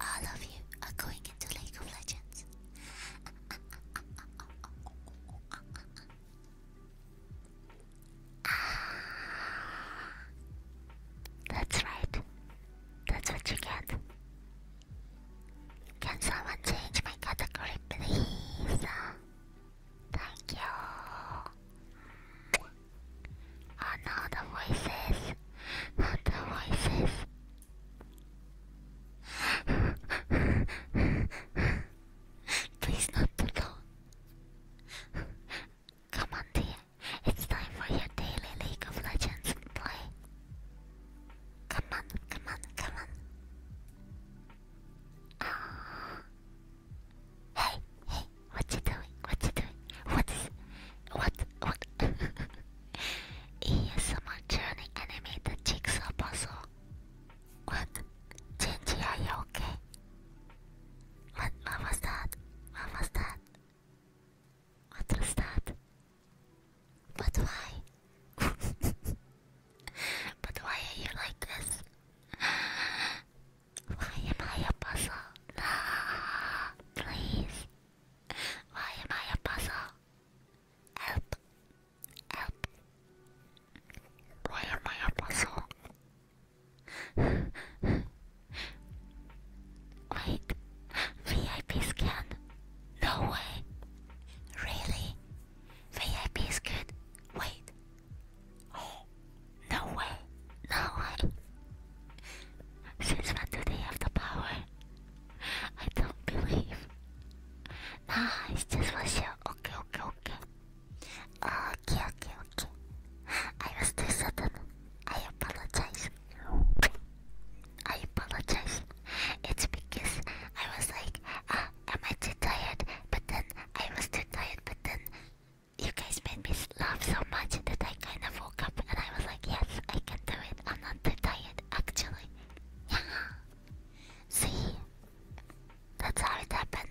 All of you are going into League of Legends. Ah. That's right. That's what you get. Can someone change my category, please? Thank you. Oh no, the voices. Not the voices. Please not too low. Come on dear, it's time for your daily League of Legends play. Come on, come on, come on. Ah. Hey, hey, what you doing? What you doing? What is what what ESMR journey animated jigsaw puzzle? What? Genji, are you okay? What what was that? What was that? What was that? But why? but why are you like this? Why am I a puzzle? Please. Why am I a puzzle? Help. Help. Why am I a puzzle? Wait. VIP scan? No way. Really? VIP scan? Wait. Oh. No way. No since when do they have the power? I don't believe. Nah, it's just for sure. Okay, okay, okay. Okay, okay, okay. I was too sudden. I apologize. I apologize. It's because I was like, ah, am I too tired? But then I was too tired, but then you guys made me Love so much that I kind of woke up and I was like, yes, I can do it. I'm not too tired, actually. Yeah. See? That's how it happened.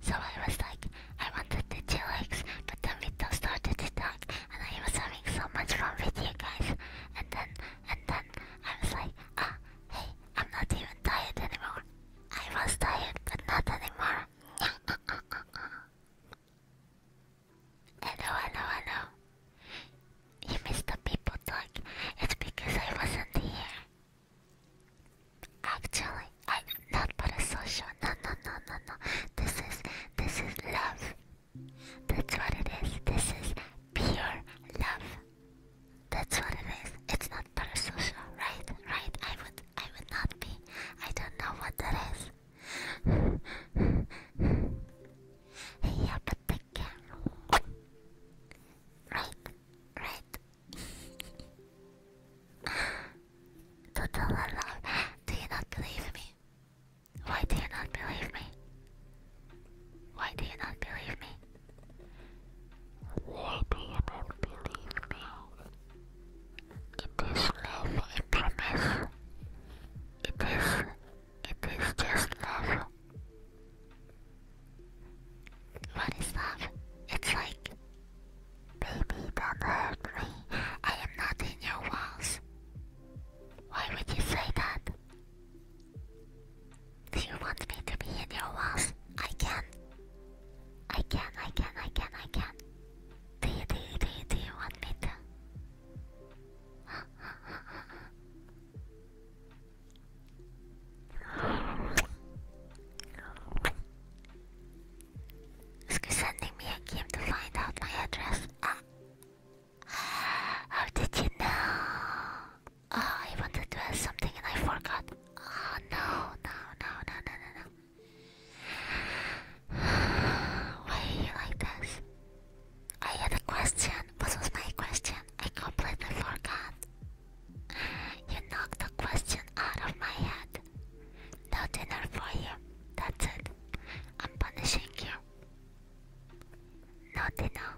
So I was like, I wanted to chillax, but then we just started to talk, and I was having so much fun with you guys. And then, and then, I was like, ah, hey, I'm not even tired anymore. I was tired, but not anymore. Hello, hello, hello. You missed the people talk. It's because I wasn't here. Actually, I did not put a social. No, no, no, no, no. This is this is love. That's what it is. This is pure love. That's what it is. It's not parasocial, right? Right? I would I would not be. I don't know what that is. Yeah, but the Right, right. Total love. Do you not believe me? Why do you not believe me? Why do you not believe me? Why do you not believe me? in this love, I promise. It is, it is just love. What is love? It's like, baby, don't hurt me. I am not in your walls. Why would you say that? Do you want me to be in your walls? I can. not I can, not I can, not I can, I can. Do you, do you, do you, do you want me to? Excuse sending me a game to find out my address. Ah. How did you know? Oh, I wanted to ask something and I forgot. Oh no, no, no, no, no, no, no. Why are you like this? I had a question. What was my question? I completely forgot. You knocked the question out of my head. No dinner for you. That's it. I'm punishing you. No dinner.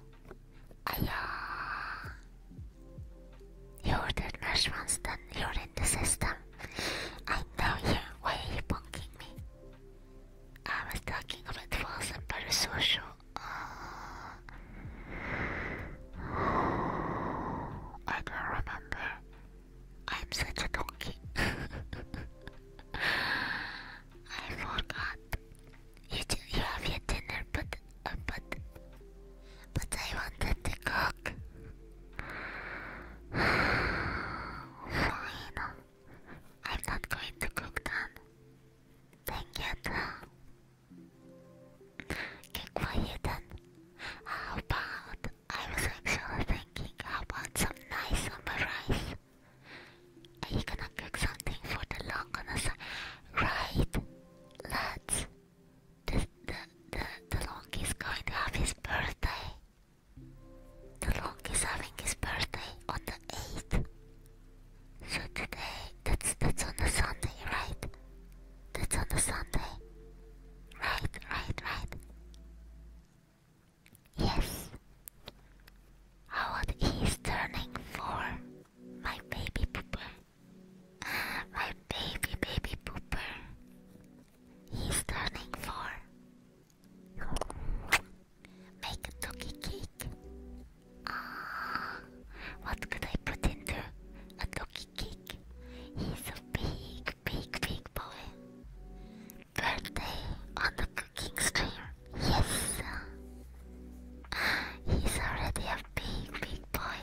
I, uh... You ordered mushrooms, then you're in the system. I know you. Why are you punking I was talking about it was a parasocial. I don't remember. I'm such a donkey. I forgot. You, you have your dinner, but uh, but but I wanted to cook. Fine. I'm not going to cook them. Dang it. Get quiet then. How about I was actually thinking about some nice summer rice. Are you gonna cook something for the long on the side? Right. Let's. The, the, the, the long is going to have his birthday. The Long is having his birthday on the 8th. So today, that's that's on a Sunday, right? That's on a Sunday. Right, right, right. Yes. How about he's turning four? My baby pooper. my baby, baby pooper. He's turning four. Make a cookie cake. Ah, what could I put into a cookie cake? He's a big, big, big boy. Birthday on the cooking stream. Yes. He's already a big, big boy.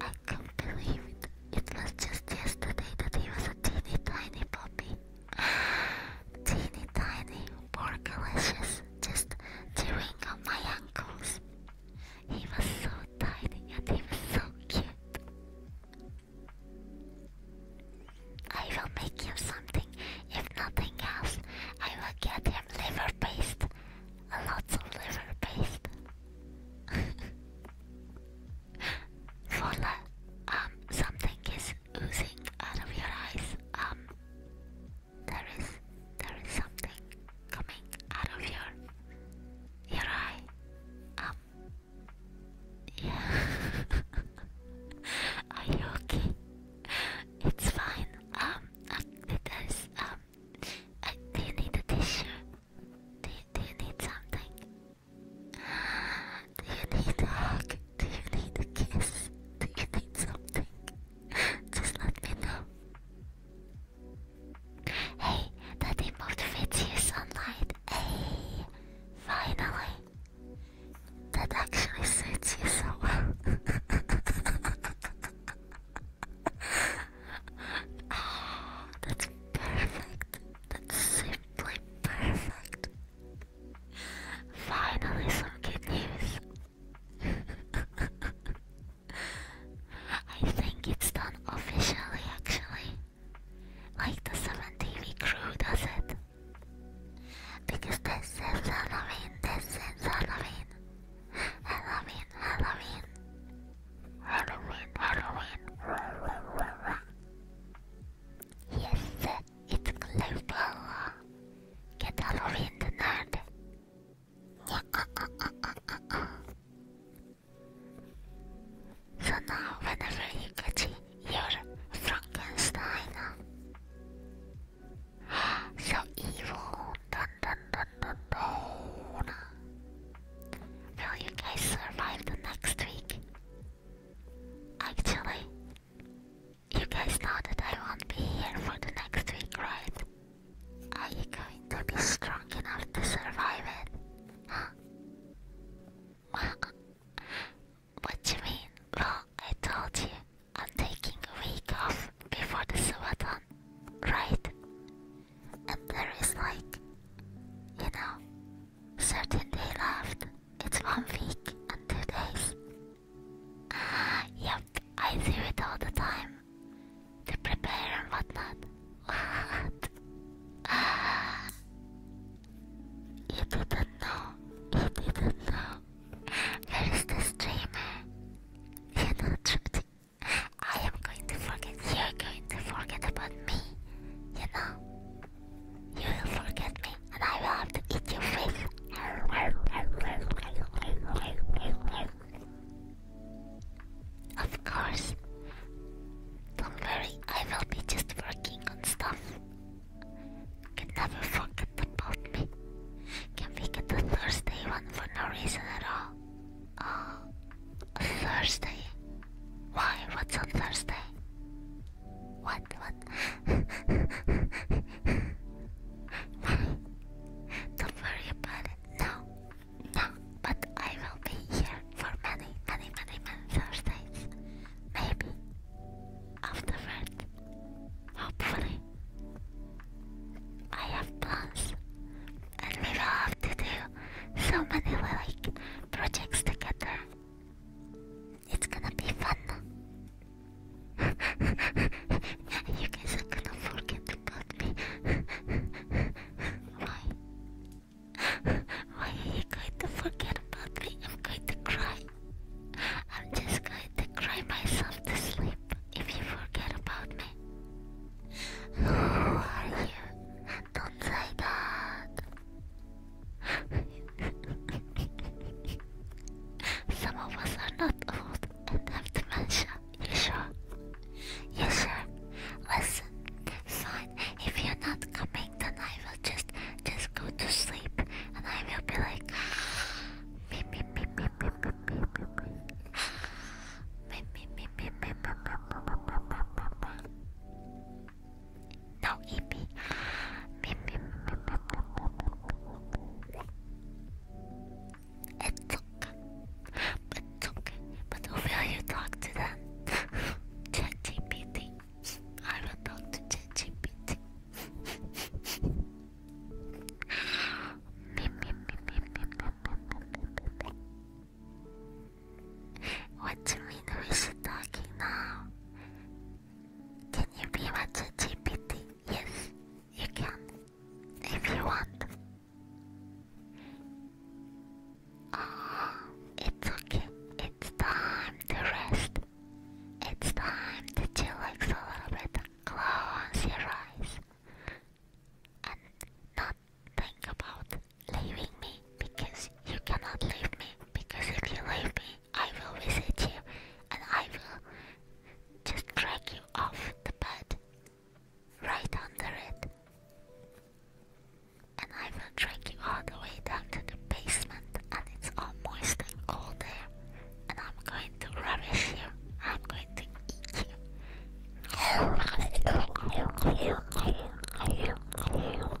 I can't believe it. It was just yesterday that he was a teeny tiny puppy. teeny tiny, porkalicious, just chewing on my ankles. He was so tiny and he was so cute. I will make him something, if nothing else. I will get him liver paste. Lots of liver paste. Fola, um, something is oozing out of your eyes. Um, there is, there is something coming out of your, your eye. Um, yeah. Are you okay? It's fine. Um, uh, there's um. Uh, do you need a tissue? Do you, do you need something? Do you need a hug? Do you need a kiss? Do you need something? Just let me know. Hey, that emote fits you, sunlight. Hey, finally. That actually suits you so well. Ah, that's perfect. That's simply perfect. Finally, some good news. I think it's done officially, actually. Like the 7 TV crew does it. Because this is Halloween, this is Halloween. Halloween, Halloween. Halloween, Halloween. Yes, it's global. Get Halloween the nerd. So now, whenever you catch your Frankenstein, so evil, dun dun dun dun dun. Will you guys survive the next week? Actually, you guys know that I won't be here for the next week, right? Are you going to be strong enough to survive it? Huh? what do you mean? Well, I told you, I'm taking a week off before the Subathon, right? And there is like, you know, certainly left. It's one week and two days. Ah, yep, I do it all the time. To prepare and whatnot. What? Ah. You didn't know. You didn't know. Where is the streamer? You know, Trudy, I am going to forget. You're going to forget about me. You know. You will forget me, and I will have to eat your face. Of course. Don't worry, I will be just working on stuff. can never forget about me. Can we get a Thursday one for no reason at all? Oh, Thursday. Why? What's on Thursday? What? What? Don't worry about it. No, no. But I will be here for many, many, many, many Thursdays. Maybe after that. Hopefully, I have plans, and we will have to do so many like projects together. It's gonna be fun. you guys are gonna forget about me. Why? Why are you going to forget about me? I'm going to cry. I'm just going to cry myself to sleep if you forget about me. Who are you? don't say that. Some of us are not old and have dementia. You sure? You sure? Listen, fine. If you're not coming, then I will just just go to sleep, and I will be like. No, eat me. It's okay. It's okay. But who will you talk to then? ChatGPT. I will talk to ChatGPT. What do you mean we should talking now? Can you be my GPT? Yes, you can. If you want. Oh, it's okay. It's time to rest. It's time to chillax a little bit close your eyes. And not think about leaving me because you cannot leave me because if you leave me, I will visit you and I will just drag you off the bed right under it. And I will drag you all the way down to the basement and it's all moist and cold there. And I'm going to ravish you. I'm going to eat you.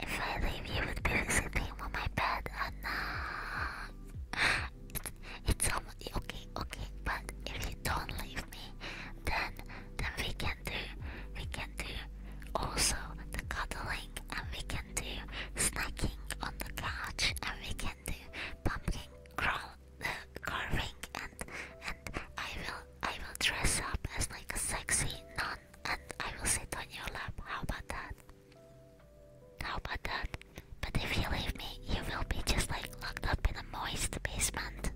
If I leave, you would be sitting on my bed and uh, it's um, okay, okay. But if you don't leave me, then then we can do we can do also the cuddling and we can do snacking on the couch and we can do pumpkin crawl the uh, carving and and I will I will dress up as like a sexy nun and I will sit on your lap. How about that? How about that? But if you leave me, you will be just like locked up in a moist basement.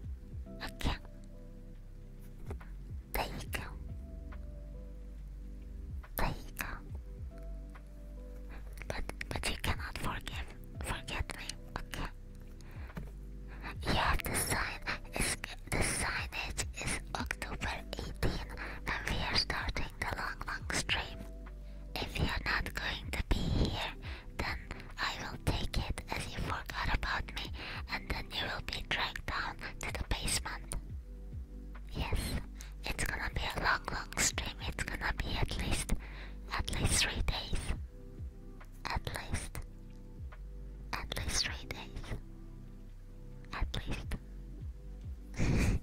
Okay. There you go. There you go. But but you cannot forgive forget me, okay? Yeah, the sign is the signage is October 18 and we are starting. The long, long stream. If you're not going to be here, then I will take it as you forgot about me, and then you will be dragged down to the basement. Yes, it's gonna be a long, long stream. It's gonna be at least, at least three days. At least, at least three days are placed. um,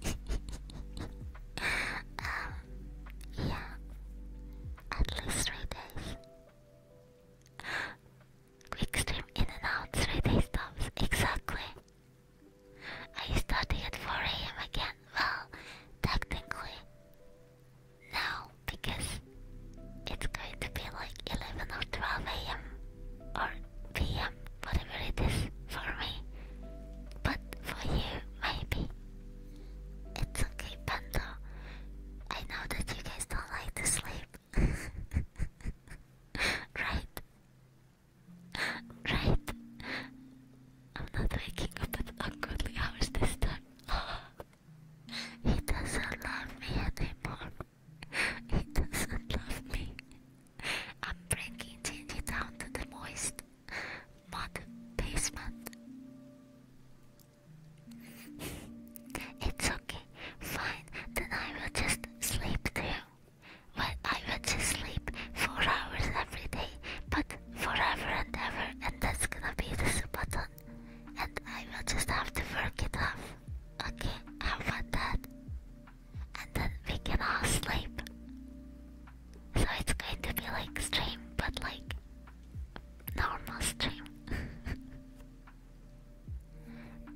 yeah, at least three days. Quick stream in and out, three days stops, exactly. I you at 4 am again? Well, technically, no, because it's going to be like 11 or 12 am or PM, whatever it is for me. But for you, maybe. It's okay, Bento. I know that you guys don't like to sleep. right? right? I'm not waking up at ungodly hours this time. he doesn't love me anymore. he doesn't love me. I'm bringing Gingy down to the moist mud basement. it's okay, fine, then I will just sleep too. Well, I will just sleep four hours every day, but forever and ever, and that's gonna be this button. And I will just have to work it off. Okay, how about that? and then we can all sleep. So it's going to be like stream, but like normal stream.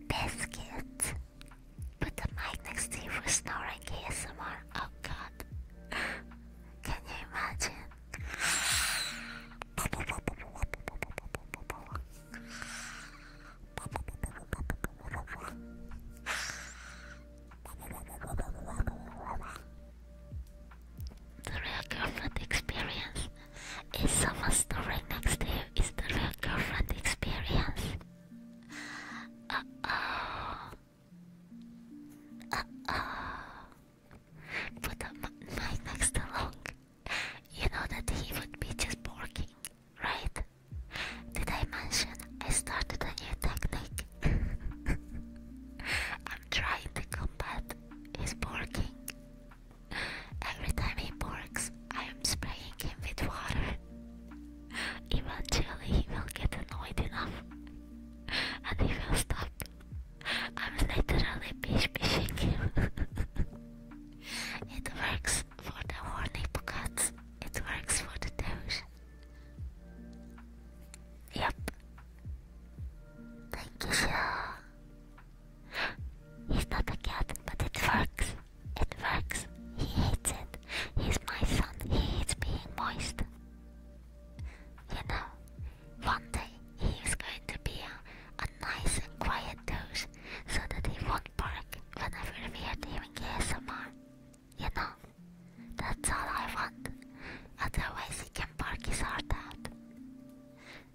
Biscuit. Put the mic next to you for snoring ASMR. Oh god. Can you imagine? The real girlfriend experience. Is someone snoring next to you? Is the real girlfriend experience? Uh oh. Uh oh. Put the knife next to Long. You know that he would be just barking, right? Did I mention I started a new technique? I'm trying to combat his barking. Every time he barks, I am spraying him with water. Eventually, he will get annoyed enough and he will stop. I'm literally bish bishing him. it works for the horny cats, it works for the douche. Yep. Thank you, He's not a cat, but it works. It works. He hates it. He's my son. He hates being moist. You know, one day he is going to be a, nice and quiet dog so that he won't bark whenever we are doing ASMR. You know, that's all I want. Otherwise, he can bark his heart out.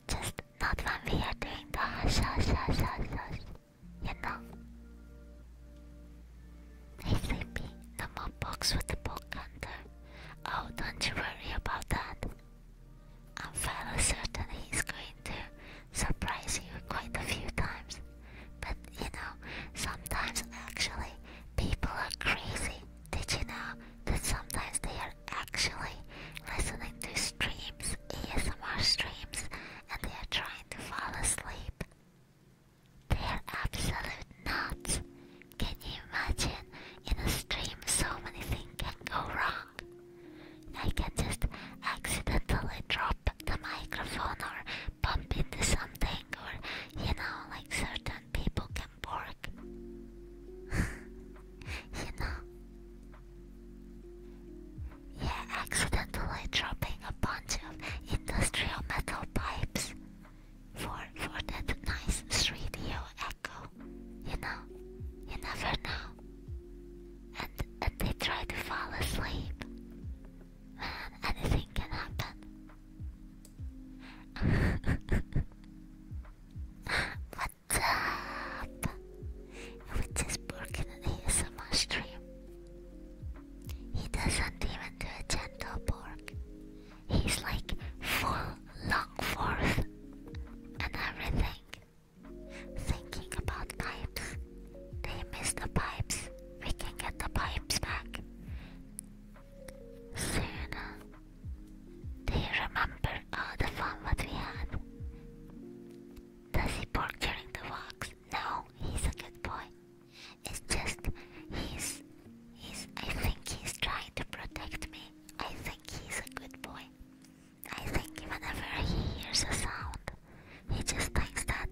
Just not when we are doing the hush, hush, hush, hush, You know? Hey, Sleepy, no more books with the book under. Oh, don't you worry about that. I'm fairly certain he's going to surprise you quite a few times. But you know, sometimes actually people are crazy. Did you know that sometimes they are actually listening to streams, ASMR streams, and they are trying to fall asleep? They are absolute nuts. Can you imagine? In a stream, so many things can go wrong. I can just accidentally drop the microphone or bump into something or you know like certain people can bark you know yeah accidentally dropping a bunch of industrial metal pipes for for that nice 3D echo you know you never know and and they try to fall asleep anything can happen. What's up? Which is broken in ASMR stream. He doesn't even do a gentle pork. He's like full long forth and everything. Thinking about life they miss the pipes. We can get the pipes back. Soon. Do you remember all the fun that we had? Does he bark during the walks? No, he's a good boy. It's just he's he's I think he's trying to protect me. I think he's a good boy. I think whenever he hears a sound, he just thinks that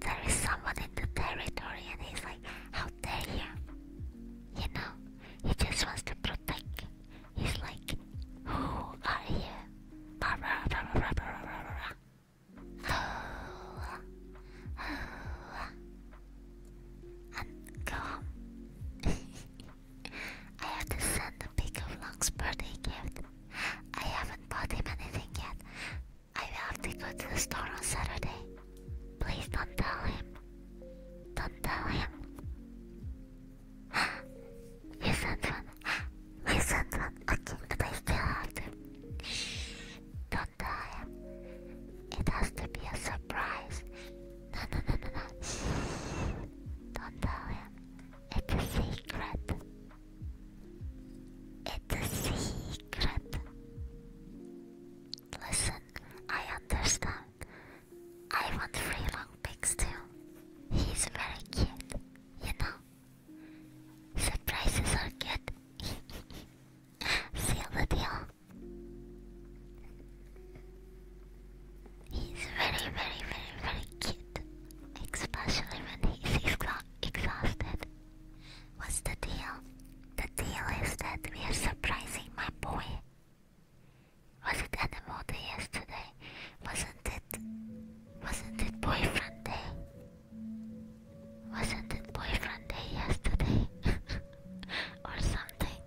there is someone in the territory and he's like, how dare you? You know, he just wants to protect. He's like, who are you? Blah, blah, blah, blah, blah, I have to send a pic of Longspur they gift. I haven't bought him anything yet, I have to go to the store on Saturday. Please don't tell him. Don't tell him. you sent one. You sent one. Okay, but I still have Shh. Don't tell him. It has to be a surprise. No, no, no, no, no. Shh. Don't tell him. It's a secret the secret. Listen, I understand. I want free long pics too. He's very cute, you know. Surprises are good. Seal the deal. He's very, very, very, very cute. Especially when he's exhausted. What's the deal? The deal is that we are surprising my boy. Was it Animal Day yesterday? Wasn't it? Wasn't it Boyfriend Day? Wasn't it Boyfriend Day yesterday? or something?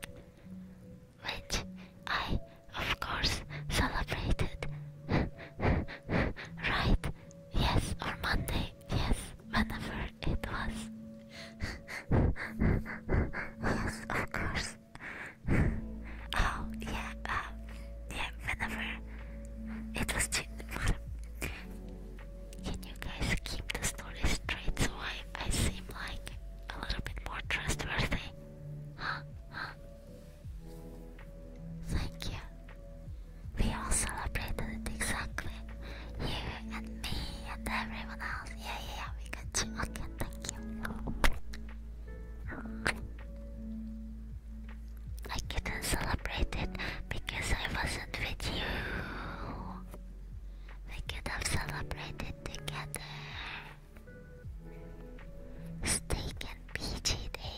Which I, of course, celebrated. right? Yes, or Monday. Yes, whenever it was. of course. oh, yeah, uh, yeah, whenever it was too Can you guys keep the story straight so I seem like a little bit more trustworthy? Huh? Huh? Thank you, we all celebrated it exactly. You and me and everyone else. Yeah, yeah, we got you. Okay, thank you. I couldn't celebrate it because I wasn't with you. We could have celebrated together. Steak and PG Day.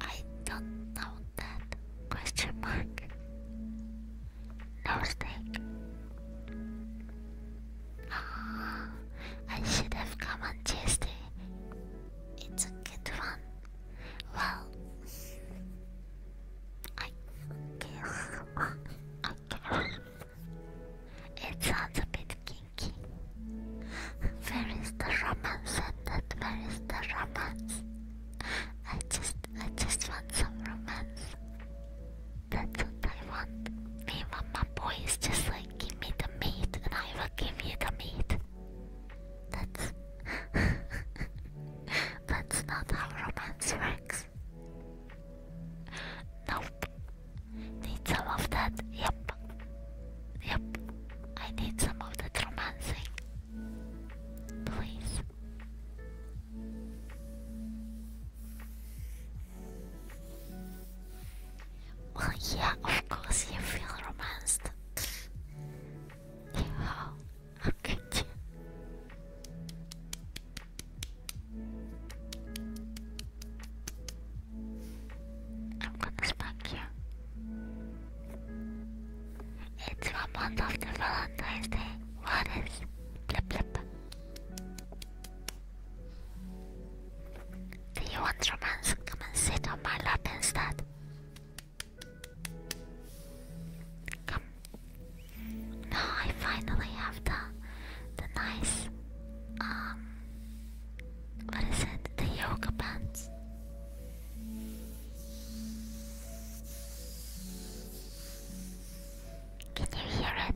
I don't know that. Question mark. No snake. Ah, I should have come on Tuesday. It's a good one. Well, I guess. I guess. It sounds a bit kinky. Where is the romance? That where is the romance? I just I just want some romance. That's what I want. Me and my boy is just like give me the meat and I will give you the meat. That's that's not how romance works. Nope. Need some of that, yep. Yep. I need some of that romancing. Please. Well, yeah, of course you feel romanced. yeah, how, I'm gonna spank you. It's one month after Valentine's Day. What is Do you want romance? Come and sit on my lap instead. Come. Now I finally have the the nice um what is it? The yoga pants. Can you hear it?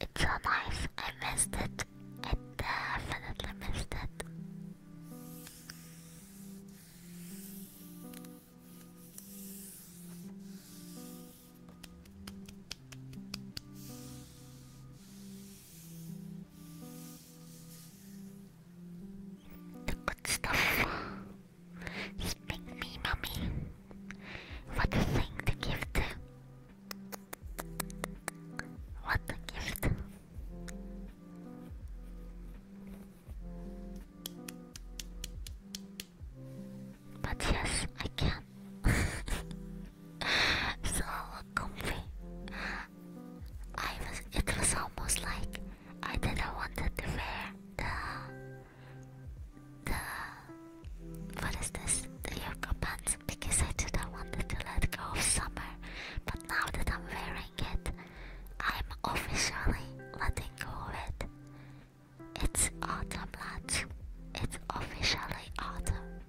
It's so nice. I missed it. I definitely missed it. The good stuff. Just mommy. What a thing to give to what the gift? But yes, I can. so comfy. I was. It was almost like I didn't wanted to wear the the. What is this? The yoga pants because I didn't want to let go of summer. But now that I'm wearing it, I'm officially letting go of it. It's autumn, lads. It's officially autumn.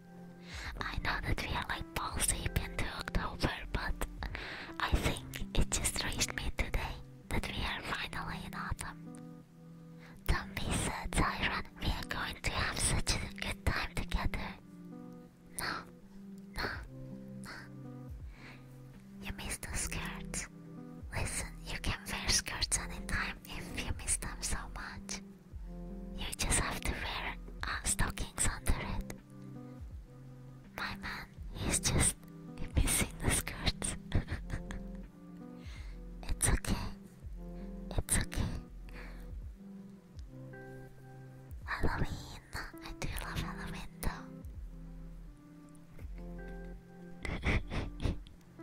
I know that we are like balls deep into October, but I think it just reached me today that we are finally in autumn. Don't be sad, Siren. We are going to have such a good time together. No, no, no. You missed the skirts. Listen, you can wear skirts anytime if you miss them so much. You just have to wear uh, stockings under it. My man, he's just missing the skirts. it's okay. It's okay. Halloween. I do love Halloween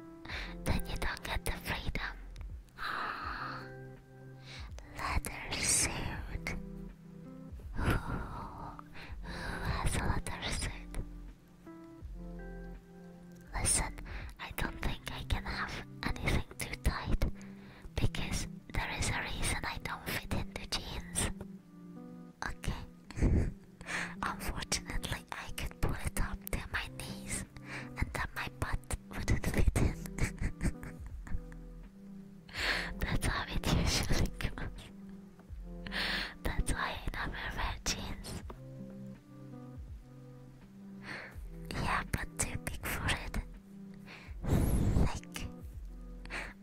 then you don't get the freedom. leather suit. who has a leather suit? Listen, I don't think I can have anything too tight because there is a reason I don't fit into jeans. Okay. Unfortunately, I could pull it up to my knees, and then my butt wouldn't fit in. That's how it usually goes. That's why I never wear jeans. Yeah, but too big for it. Like,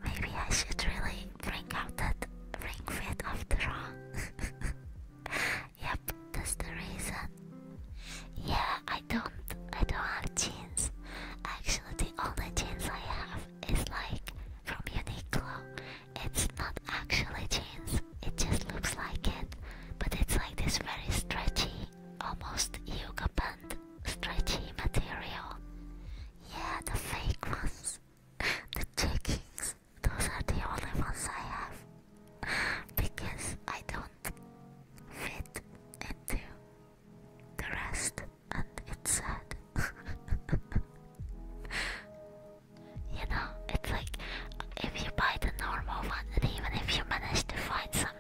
maybe I should really bring out that ring fit after all. yep, that's the reason. Yeah, I don't, I don't have jeans. Actually, the only jeans I have is like from Uniqlo. It's not actually jeans. It just looks like it, but it's like this very stretchy almost yoga band stretchy material. Yeah, the fake ones, the checkings. Those are the only ones I have because I don't fit into the rest, and it's sad. you know, it's like if you buy the normal one, and even if you manage to find something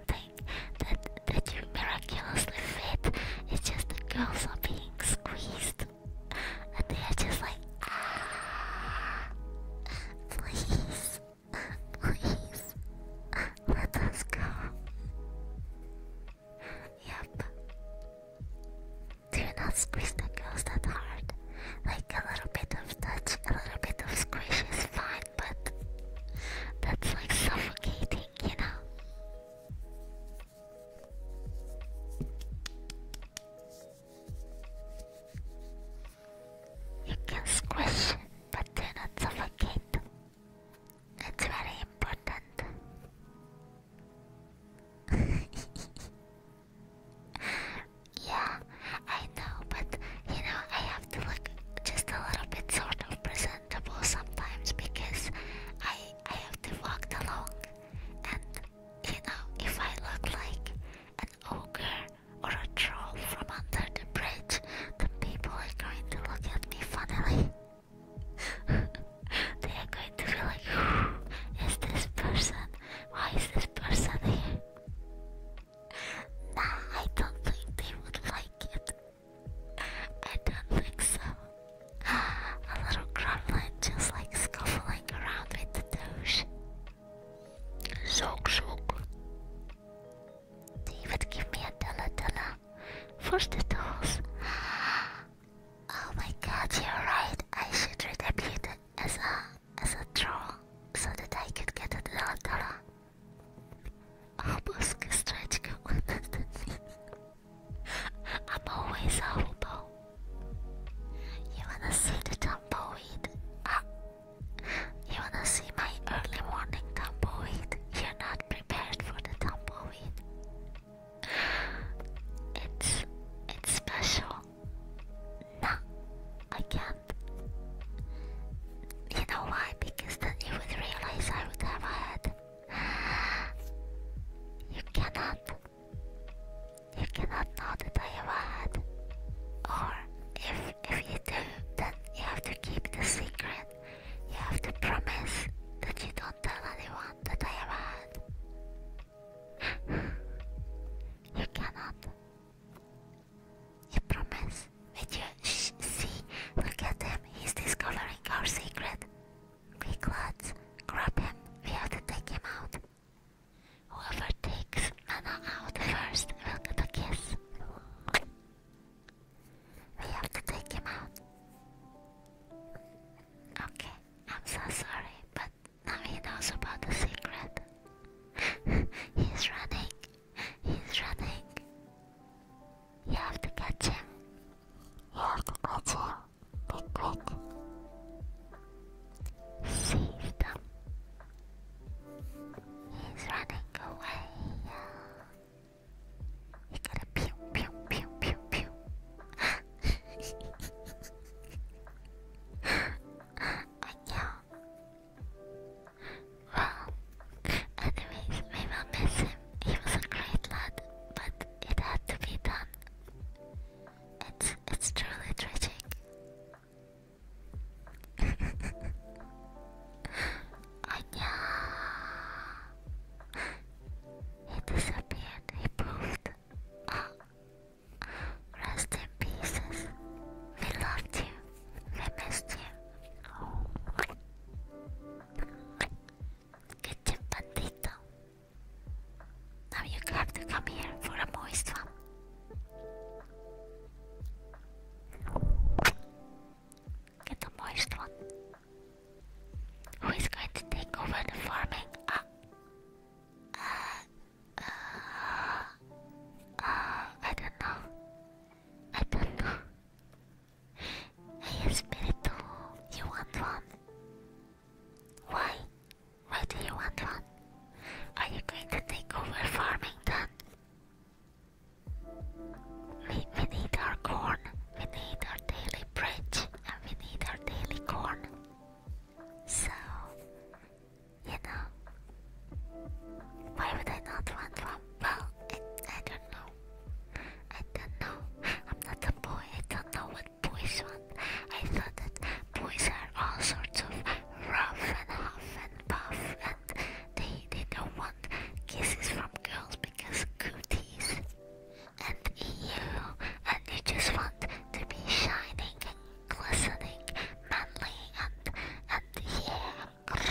that that you miraculously fit. It's just the girls are being squeezed, and they are just like, ah, please, please, let us go. Yep. Do not squeeze the girls that hard. Like a little bit of touch, a little bit of squish is fine but that's like suffocating, you know? You can squish, but do not suffocate. It's very important. yeah, I know, but you know, I have to look just a little bit sort of presentable sometimes because I I have to walk along, and you know, if I look like an ogre or a troll from under the bridge, then people are going to look at me funnily. they are going to be like, who is this person? Why is this person here? Nah, I don't think they would like it. I don't think so. A little gremlin just like scuffling around with the douche. Zog zog. They would give me a della della for the dolls. Oh my god, you're right. I should read a as a as a troll so that I could get a della della. Arbusto que estrática I'm always horrible. You wanna see the tumbleweed? Ah, you wanna see my early morning tumbleweed? You're not prepared for the tumbleweed. It's it's special. Nah, I can't. You know why? Because then you would realize I would have a head. You cannot. You cannot know that I have a head. Or if if you do, then you have to keep the secret. You have to promise that you don't tell anyone that I have a head. you cannot. You promise? Did you see? Look at him. He's discovering our secret. Quick, lads. Grab him. We have to take him out. Whoever takes Nana out first will get a kiss. We have to take him out. Okay, I'm so sorry, but now he knows about the secret. He's running. He's running. You have to catch him. You have to catch him. Be quick. He's running away. You gotta pew pew pew pew pew. I know. Well, anyways, we will miss him. He was a great lad, but it had to be done. It's it's truly tragic. I Anya He disappeared, he proved. Oh. Rest in pieces. We loved you. I missed you. Get a moist one. Who is going to take over the farming? Uh, uh, uh, I don't know. I don't know. Hey spirit? you want one? Why? Why do you want one? Are you going to take over farming then? We, we need our corn, we need our daily bread, and we need our daily corn. So, you know, why would I not want one? Well, I don't know. I don't know. I'm not a boy. I don't know what boys want. I thought that boys are all sorts of rough and huff and puff, and they they don't want kisses from girls because cooties. And you and you just want to be shining and glistening, manly, and and yeah,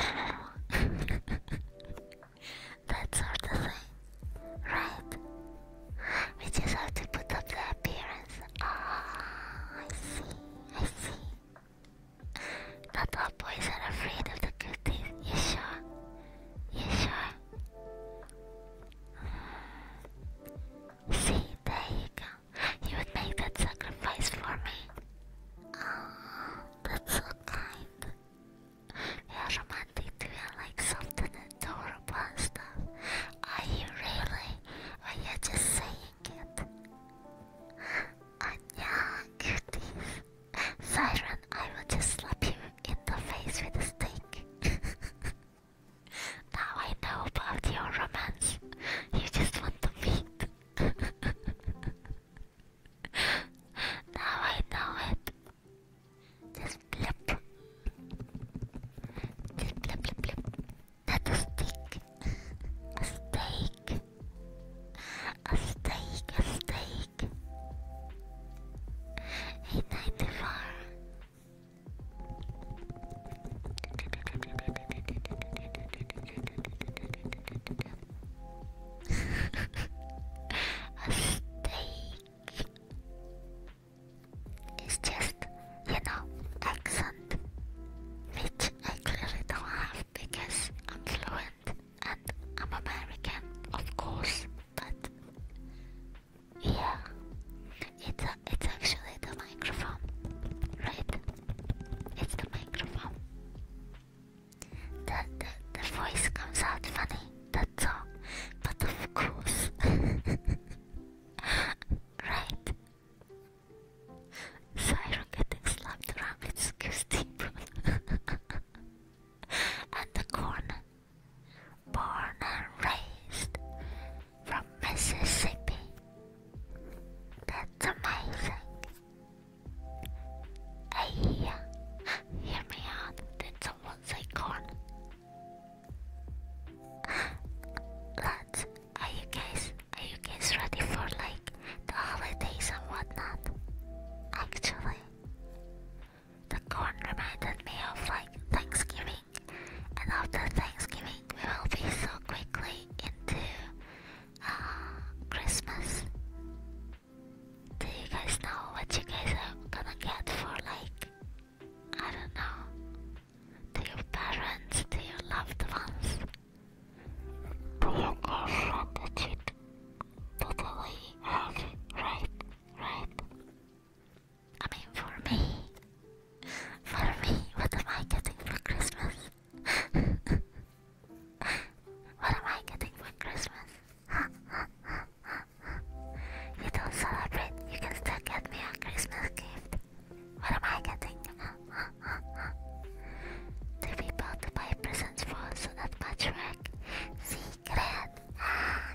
That's sort thing, right? We just have to put up the appearance. Ah, I see, I see. Not all boys are afraid of the cuties. You sure? You sure? See, there you go. You would make that sacrifice for me. Oh, that's so kind. They are romantic too like soft adorable and stuff. Are you really? Or you just saying it? Anya, cuties. Siren, I will just slap you in the face with a stick. now I know about your romance. You just want to meet. now I know it. Just blip. Just blip, blip, blip. Not a stick. a steak. A steak, a steak. 894. a steak. It's just, you know, accent, which I clearly don't have because I'm fluent and I'm American, of course, but yeah, it's, it's actually the microphone, right? It's the microphone. That the, voice comes out funny, that's all. But of course. right. Cyro getting slapped around with Scoosteep. and the corn. Born and raised from Mississippi. That's amazing. Hey, hear me out. Did someone say corn? Lads, are you guys are you guys ready for like the holidays and whatnot? Actually, the corn reminded me of like Thanksgiving, and after Thanksgiving we will be so quickly into uh, Christmas. Do you guys know what you guys are gonna get for like I don't know Do your parents, Do your loved ones? Do you guys want that totally have right? Right? I mean for me for me, what am I getting for Christmas? what am I getting for Christmas? you don't celebrate, you can still get me a Christmas gift. What am I getting? the people to buy presents for so that patchwork secret. Ah,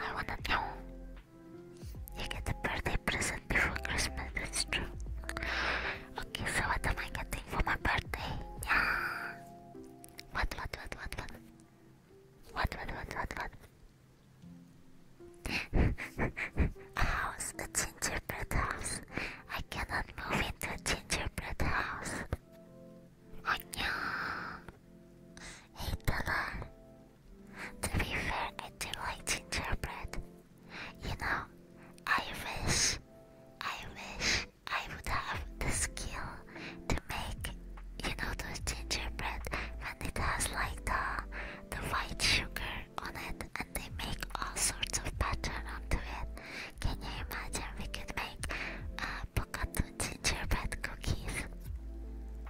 I wanna know. You get a birthday present before Christmas, that's true. Okay, so what am I getting for my birthday? What, what, what, what, what? What, what, what, what, a house, a gingerbread house. I cannot move into a gingerbread house. Oh no. Eight dollar. To be fair, I do like gingerbread. You know, I wish, I wish I would have the skill to make, you know, those gingerbread when it has like the, the white sugar on it and they make all sorts of pattern to it. Can you imagine we could make a uh, Pokatu gingerbread cookies?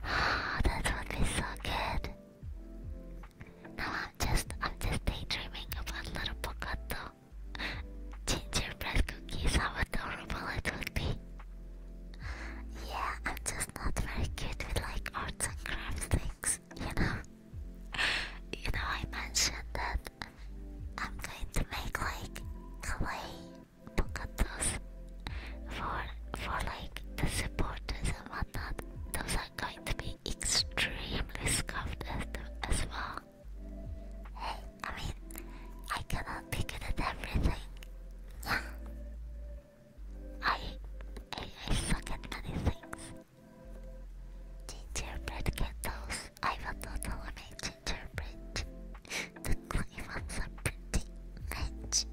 Ah, that would be so good. Now I'm just, I'm just daydreaming about little Pokatu Gingerbread cookies, how adorable it would be. Yeah, I'm just not very good with like arts and crafts things, you know. You know, I mentioned that I'm going to make like clay pocatos for for like the supporters and whatnot. Those are going to be extremely scuffed as well. Hey, I mean, I cannot be good at everything. Yeah. I, I, suck at many things. Gingerbread candles. I will not eliminate gingerbread. the clay ones are pretty. Rich.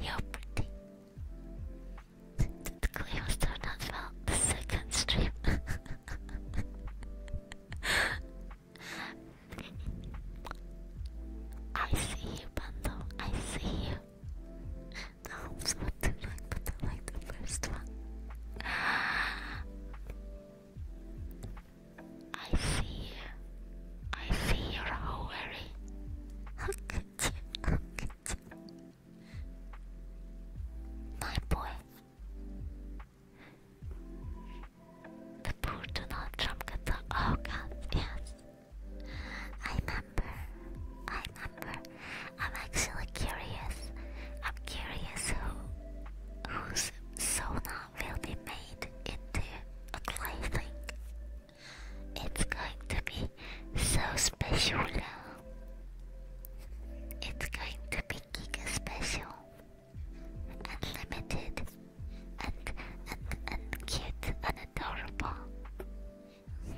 you pretty. Technically, I still not the second stream. I see you, Bando. I see you. No, it's not too but I like the first one. I see you. I see you're all weary. you. Look at you. My boy. The poor do not trump the oh god, yes. I remember. I remember. I'm actually curious. I'm curious who whose sauna will be made into a clay It's going to be so special It's going to be giga Unlimited. And, and, and cute and adorable.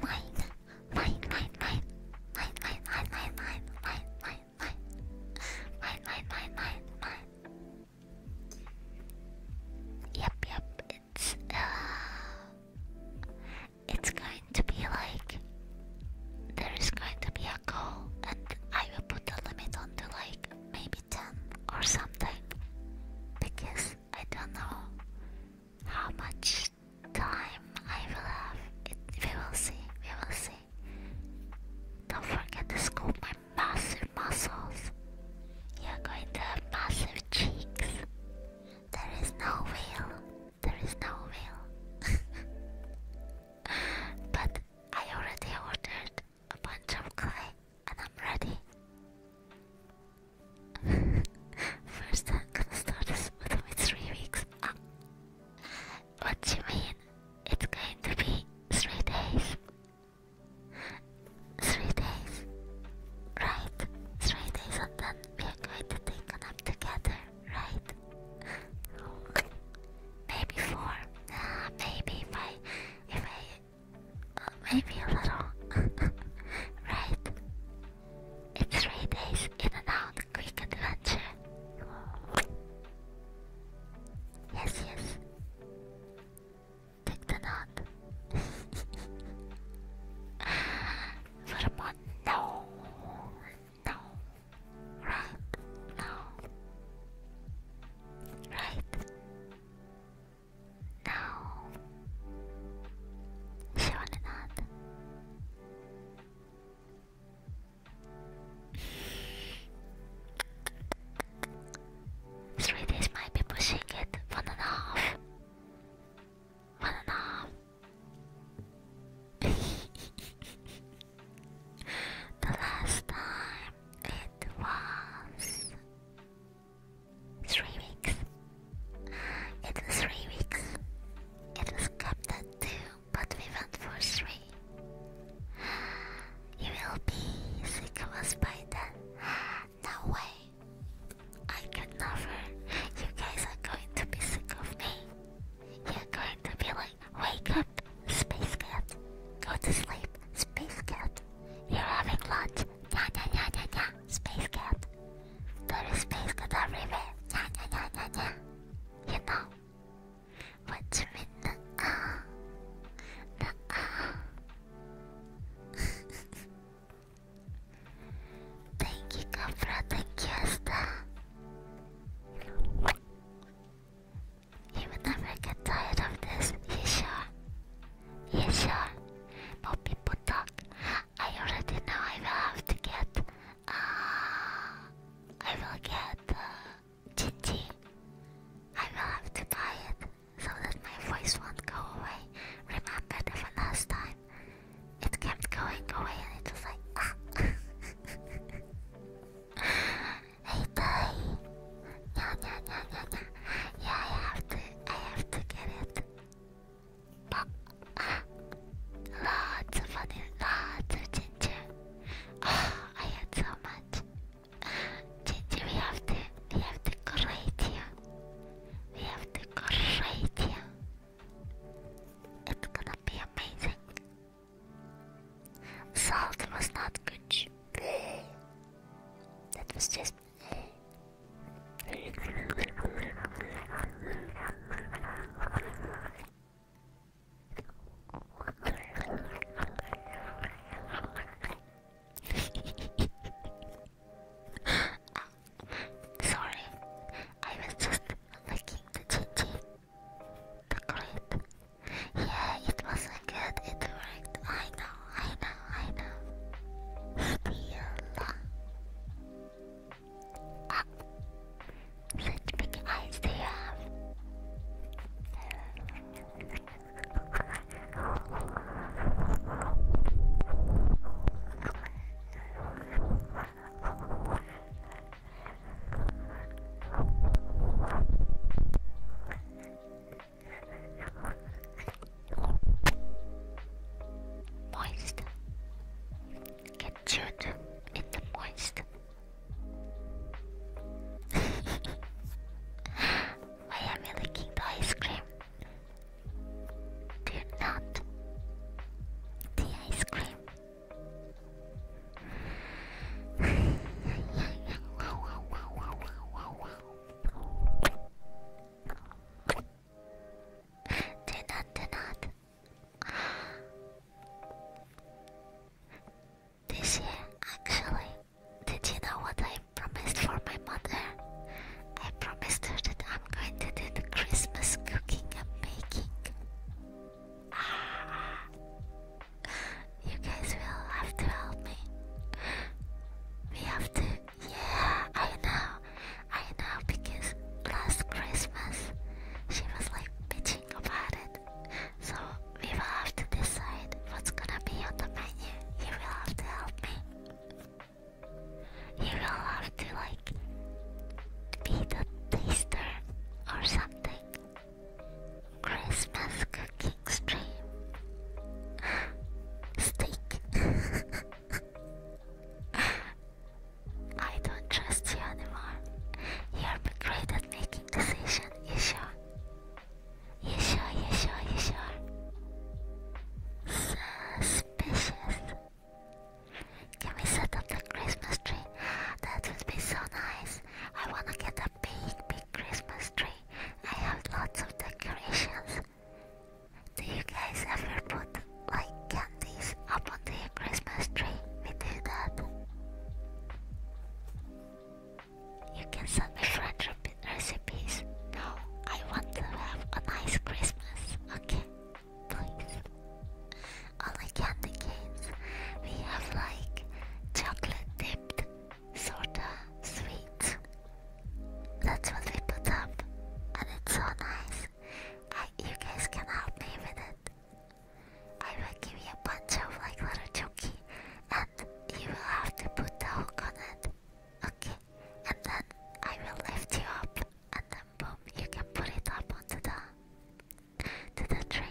Mine. Mine, mine, mine. Mine, mine, mine, mine, mine, mine, mine, mine. Mine, mine, Yep, yep, it's uh, it's going to be like there is going to be a goal, and I will put the limit on to like maybe 10 or something because I don't know how much time I will have. we will see, we will see. Don't forget to scoop my massive muscles. You're going to have massive cheeks. There is no will there is no will. but I already ordered a bunch of clay and I'm ready. First, I'm gonna start this with three weeks. What do you mean? It's going to be three days. Three days. Right, three days, and then we are going to take a nap together right? maybe four. Uh, maybe if if I, uh, maybe a little. right? It's three days in and out, quick adventure. Yes, yes. Take the knot. For a no, now, right now, right now. Surely not. Three days might be pushing it. One and a half. One and a half. the last time it was three weeks. It was three weeks. It was kept at two, but we went for three. You will be sick of us by then. No way. I could never. You guys are going to be sick of me. You're starting to be like, wake up, space cat. Go to sleep, space cat. You're having lunch, nya nya nya nya nya, space cat. There is space cat everywhere, nya nya nya nya nya. You know. What you mean, nuh-uh? Nuh-uh. Thank you, Capra, thank you, Asta. You will never get tired of this, you sure? You sure? More people talk. I already know I will have to get. Uh, I will get uh, Gigi. I will have to buy it so that my voice won't go away. Remember the last time it kept going away and it was like ah Hey die No no no no no Yeah I have to I have to get it Lots of money, lots of ginger oh, I had so much Ginger we have to we have to corrate you we have to go right It's gonna be amazing. Salt was not good. That was just. Sorry, I was just looking the GG. The clip. Yeah, it wasn't good. It worked. I know, I know, I know. Still. Such big eyes do have? Moist. Get chewed in the moist. Why am licking the ice cream? Do not the ice cream do not, This year, actually, did you know what I promised for my mother? I promised her that I'm going to do the Christmas cooking and baking. You guys will have to help me. We have to. Yeah, I know. I know because last Christmas she was like bitching about it. So we will have to decide what's gonna be on the menu. You will have to help me. You will have to like be the taster or something something. Christmas cooking stream. Steak. I don't trust you anymore. You're great at making decisions, you sure? You sure, you sure, you sure? Suspicious. Can we set up the Christmas tree? That would be so nice. I wanna get a big, big Christmas tree. I have lots of decorations. Do you guys ever put like candies up on the Christmas tree? We do that. You can send me French recipes. No, I want to have a nice Christmas. Okay. Nice. Only candy canes. We have like chocolate dipped sorta sweet. That's what we put up, and it's so nice. I, you guys can help me with it. I will give you a bunch of like little chunky, and you will have to put the hook on it. Okay, and then I will lift you up, and then boom, you can put it up onto the to the tree.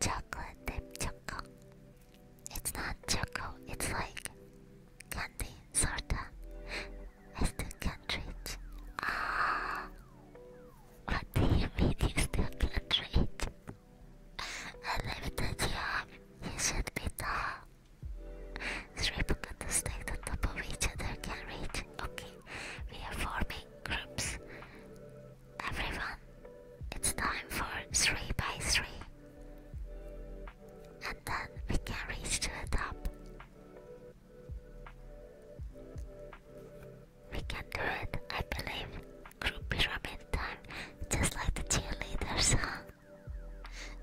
Chocolate dip choco. It's not choco, it's like candy, sorta. I still can't reach. Ah, what do you mean you still can't read? I left you up. You should be tall. Three to stack on top of each other can read. Okay. We are forming groups. Everyone, it's time for 3 by 3. And then we can reach to the top. We can do it, I believe. Group pyramid time, just like the cheerleaders, huh?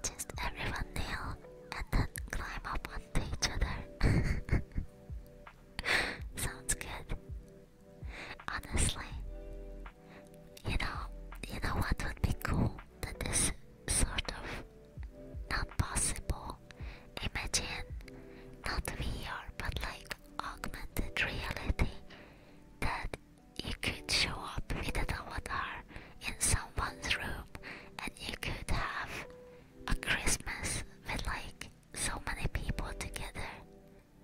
Just everyone kneel and then climb up onto each other. Sounds good. Honestly, you know, you know what would be cool that this sort of not possible. Imagine not VR, but like augmented reality that you could show up with a avatar in someone's room and you could have a Christmas with like so many people together.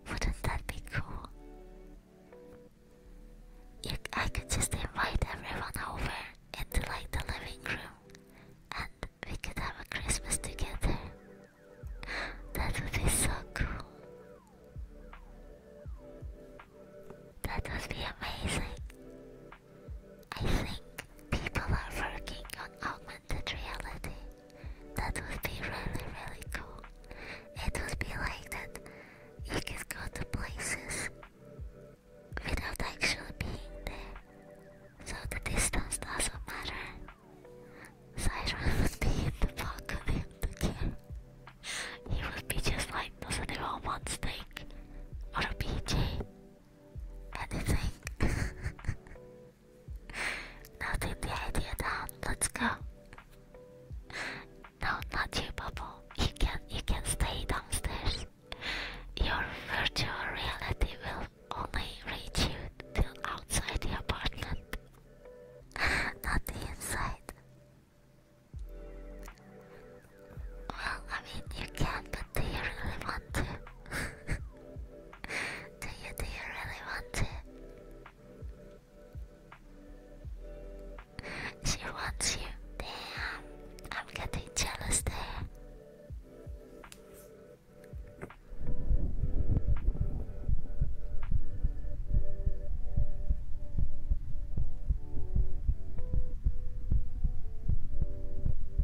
Wouldn't that be cool? You, I could just invite everyone over into like the living room and we could have a Christmas together. That would be so cool. That would be amazing. I think people are working on that reality. That would be really, really cool. It would be like that you could go to places without actually being there. So the distance doesn't matter. Siren would be in the pocket in the care. He would be just like, does anyone want steak? Or a PJ? anything. now the idea down. Let's go. No, not you, Bubble. You can you can stay downstairs. Your virtual reality will only reach you till outside the apartment, not the inside. Well, I mean you can, but do you really want to? do you do you really want it? She wants you. Damn, I'm getting jealous there.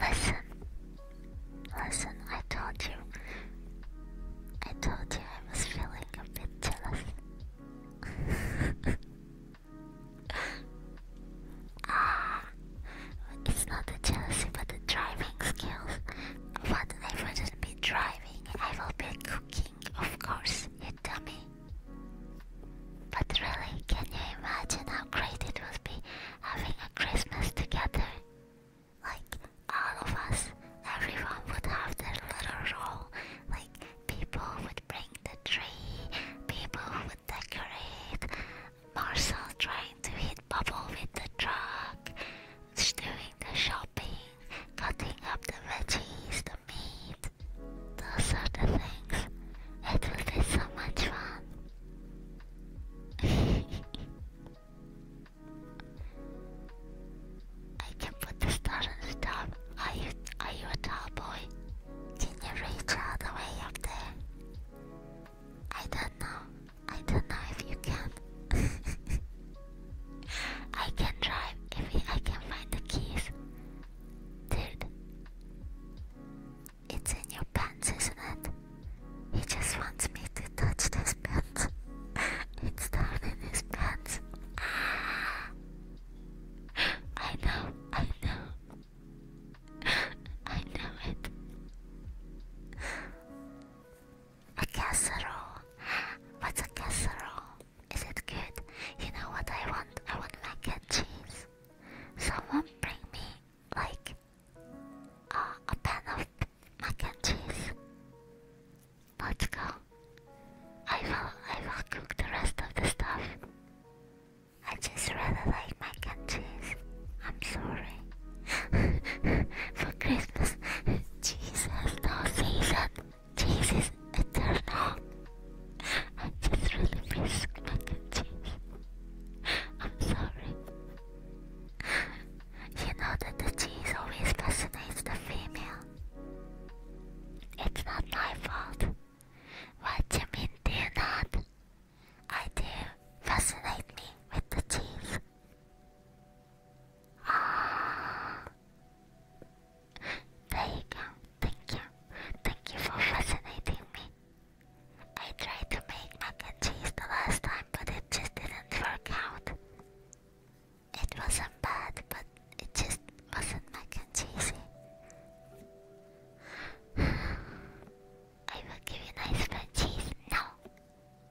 Listen. Listen, I told you. I told you I was feeling a bit jealous. ah, it's not the jealousy, but the driving skills. But I wouldn't be driving, I will be cooking, of course, you dummy. But really, can you imagine how great it would be having a Christmas together? Like all of us, everyone would have their little role. Like people would bring the tree, people would decorate. Marcel trying to hit bubble with the truck, doing the shopping, cutting up the veggies, the meat. Those are the things. It will be so much fun. I can put the stars on the top. Are you a tall boy? Can you reach all the way up there? I don't know. I don't know if you can. I can drive if we, I can find the keys. Dude. It's in your pants, isn't it? He just wants me to touch this pants. it's down in his pants. I know, I know. I know it. A casserole. What's a casserole? Is it good? You know what I want? I want mac and cheese. Someone bring me like uh, a pan of mac and cheese. Let's go. I will I will cook the rest of the stuff. I just rather like mac and cheese. I'm sorry. For Christmas, cheese no season. Cheese eternal. I just really miss mac and cheese. I'm sorry you know that the teeth always fascinates the female. It's not my fault. What do you mean, do you not? I do. Fascinate me with the teeth. Ah. There you go. Thank you. Thank you for fascinating me. I tried to make mac and cheese the last time, but it just didn't work out. It wasn't bad, but it just wasn't mac and cheese. I will give you nice mac and cheese. No,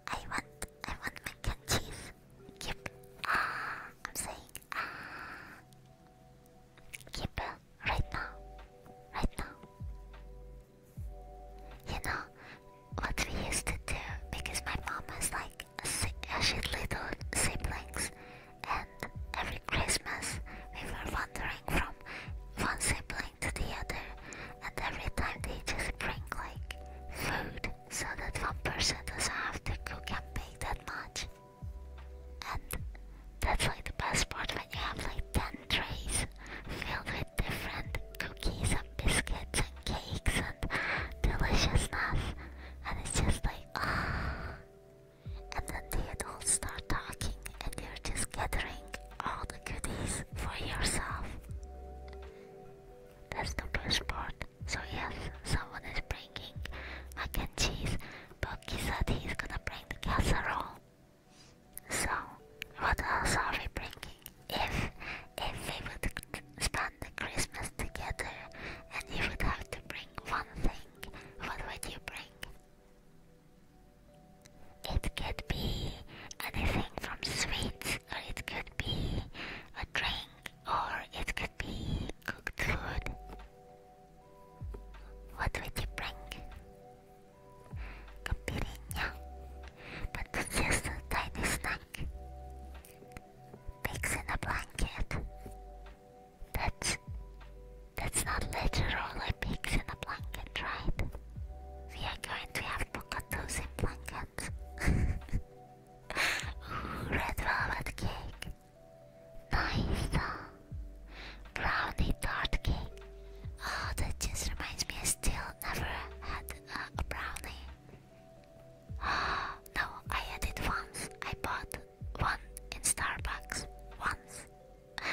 I want, I want mac and cheese. Keep, ah, I'm saying uh, Keep it right now, right now. You know, what we used to do, because my mom has like a uh, shit little siblings, and every Christmas we were wandering from one sibling to the other, and every time they just bring like food so that one person doesn't have to cook and bake that much. And that's like the best part when you have like 10 trays filled with different cookies and biscuits and cakes and deliciousness. And it's just like, ah. And then they'd all start talking, and you're just gathering all the goodies for yourself. That's the best part. So, yes, someone is bringing mac and cheese. he said he's gonna bring the casserole. So, what else are we bringing? If, if we would spend the Christmas together and you would have to bring one thing, what would you bring? It could be anything from sweets, or it could be a drink, or it could be cooked food. What would you bring? Kapirinha. But that's just a tiny snack. Pigs in a blanket. That's that's not literally pigs in a blanket, right? We are going to have pocatos in blankets. red velvet cake. Nice. Brownie tart cake. Oh, that just reminds me. I still never had a brownie. no, I had it once. I bought one in Starbucks once.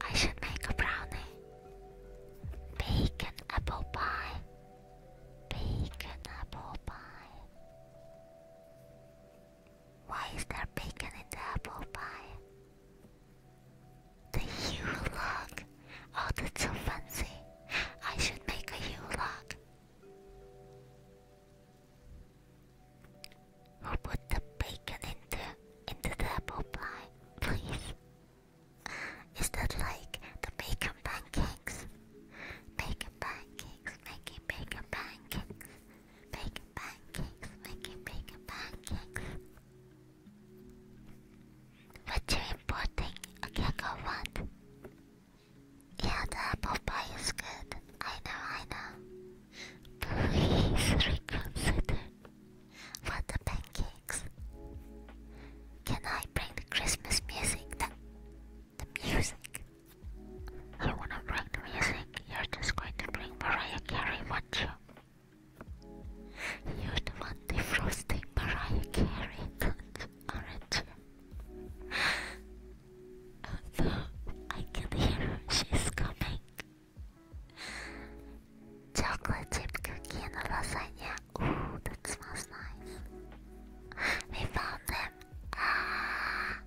I should make a brownie. Bacon apple pie. Bacon apple pie. Why is there bacon in the apple pie? The hue log. Oh, that's so fancy. I should make a hue log. Who put the bacon into into the apple pie, please? Is that like the bacon pancakes? Bacon pancakes, making bacon pancakes, bacon pancakes, making bacon pancakes. What you're importing? A gecko what? Yeah, the apple pie is good. I know, I know. Please reconsider. What the pancakes? Can I bring the Christmas music? The, the music? I wanna bring the music. You're just going to bring Mariah Carey, won't you? You're the one defrosting Mariah Carey, I can hear her, she's coming. Chocolate chip cookie and a lasagna. Ooh, that smells nice. We found them. Ah.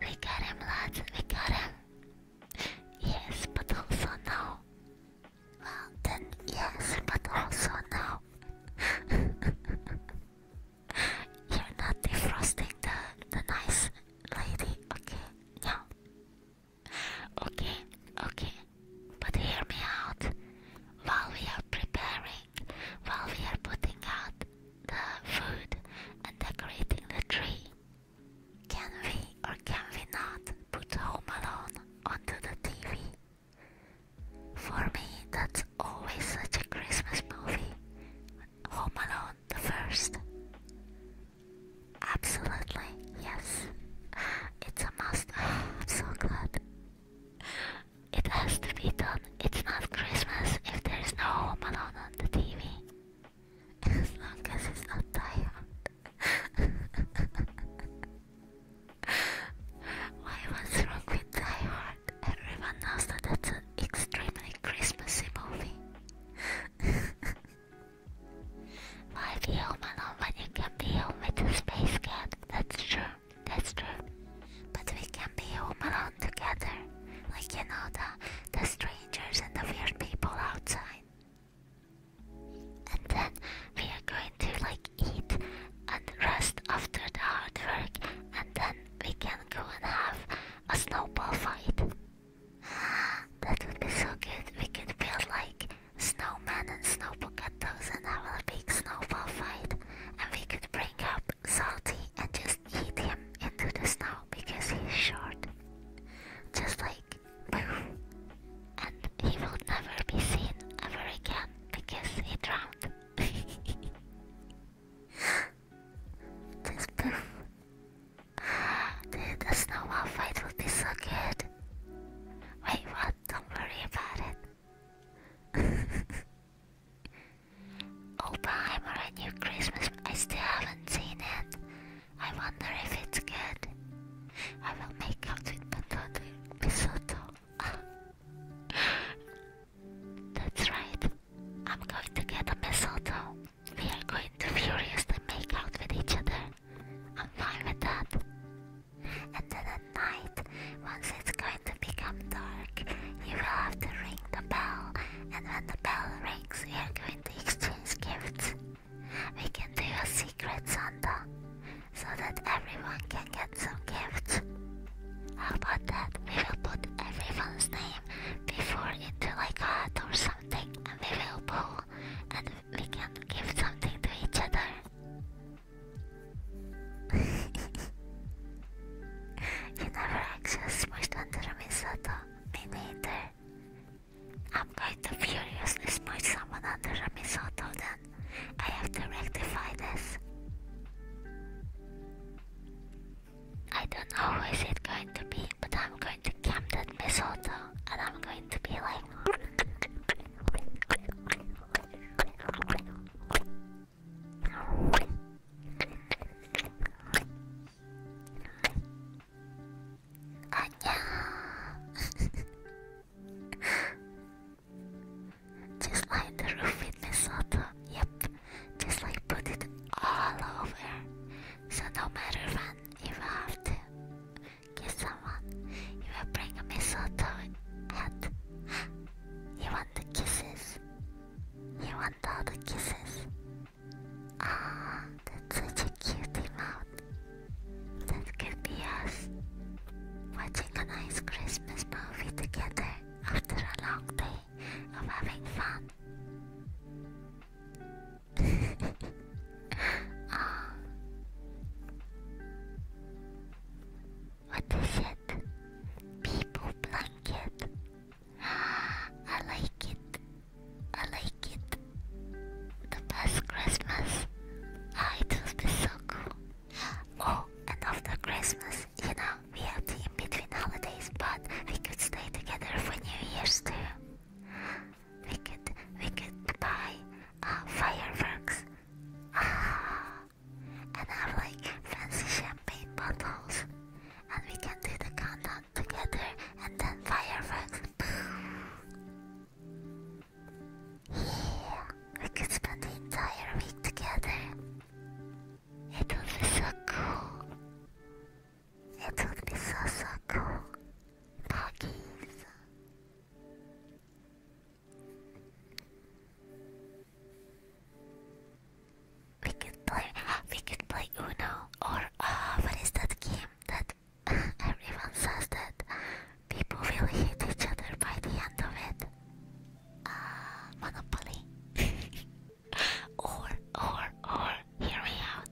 We got him, lads. We got him. Yes, but also no. Well, then yes, but also no. You're not defrosting the the nice lady, okay? No. Okay, okay. But hear me out. While we are preparing, while we are putting out the food and decorating the tree, can we or can we not put Home Alone onto the TV? For me, that's always such a Christmas movie. Home Alone, the first. Absolutely, yes. It's a must. I'm so glad. It has to be done. It's not Christmas if there's no Home Alone on the TV. As long as it's not tired. Why wrong with Die Hard? Everyone knows that's an extremely Christmassy movie. Why be home be home with a space cat? That's true, that's true. But we can be home alone together. Like you know the the strangers and the weird people outside. And then we are going to like eat and rest after the hard work, and then we can go and have a snowball fight. That would be so good. We could build like snowmen and snow potatoes and have a big snowball fight. And we could bring up Salty and just eat him into the snow because he's short. Just like poof. And he will never be seen ever again because he drowned. Just poof. Dude, snowball fight would be so good. Wait, what? Don't worry about it. Oppenheimer, a new Christmas. I still haven't seen it. I wonder if it's good. I will make out with mistletoe. That's right. I'm going to get a mistletoe. We are going to furiously make out with each other. I'm fine with that. And then at night, once it's going to become dark, you will have to ring the bell. And when the bell rings, we are going to exchange gifts. We can do a secret Santa so that everyone can get some gifts. How about that? We will put everyone's name before into like a hat or something and we will pull and we can give something to each other. you never actually smushed under a mistletoe, me neither. I'm going to furiously Destroyed someone under a mistletoe then. I have to rectify this. I don't know who is it going to be, but I'm going to camp that mistletoe and I'm going to be like Just like the roof in Minnesota. Yep. Just like put it all over. So no matter when, if I have to kiss someone, you will bring a mistletoe hat. you want the kisses. You want all the kisses. Ah, that's such a cute mouth. That could be us watching a nice Christmas movie together after a long day of having fun. oh. What is it? People blanket. I like it. I like it the best Christmas. Ah, it would so cool. Oh, and after Christmas, you know, we are in between holidays, but we could stay together for New Year's too. We could, we could buy uh, fireworks. Ah, and have like fancy champagne bottles, and we can do the countdown together, and then fireworks. Yeah, we could spend the entire week together. It would be so cool. It would be so so cool. Doggies. We could play. We could play Uno or uh, what is that game that Everyone says that people will hate each other by the end of it. Uh, Monopoly. or, or, or, hear me out.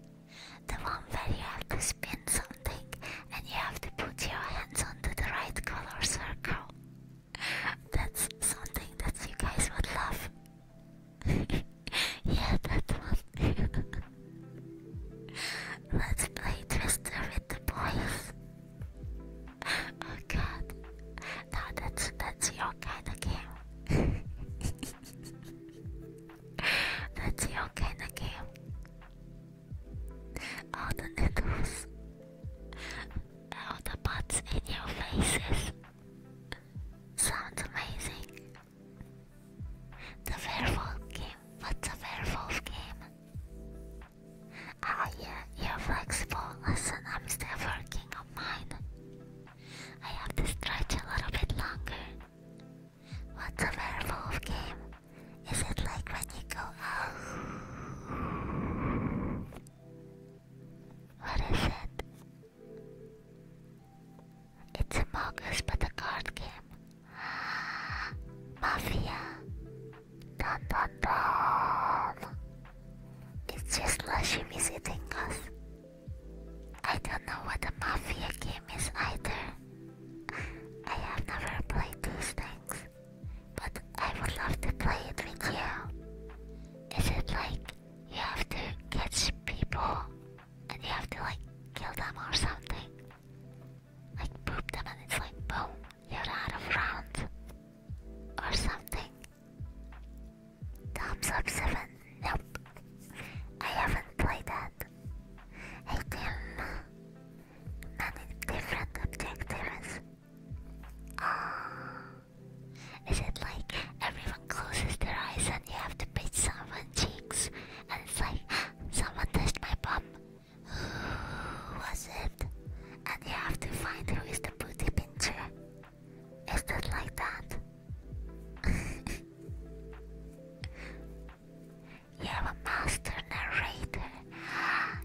The one where you have to spin something and you have to put your hands onto the right color circle. That's something that you guys would love. yeah, that one. Let's play Twister the boys. oh god. No, that's that's your kind of game. that's your kind of game. All the needles. All the butts in your faces. Sounds amazing. The werewolf game. What's a werewolf game? Ah, yeah, you're flexible. Listen, I'm still working on mine. I have to stretch a little bit longer. What's a werewolf game? Is it like when you go oh? What is it? It's a Mogus but a card game. Mafia. Dun dun dun. It's just Lashimi visiting us. I don't know what a mafia game is either. I have never played these things, but I would love to play it with you. Is it like you have to catch people and you have to like kill them or something? Like poop them and it's like boom, you're out of round. Or something. Thumbs up 7. Nope. I haven't played that. I can many different objectives. Oh. Uh, is it like everyone closes their eyes and you have to pinch someone's cheeks? And it's like, someone touched my bum. Who was it? And you have to find who is the booty pincher. Is that like that? you have a master narrator.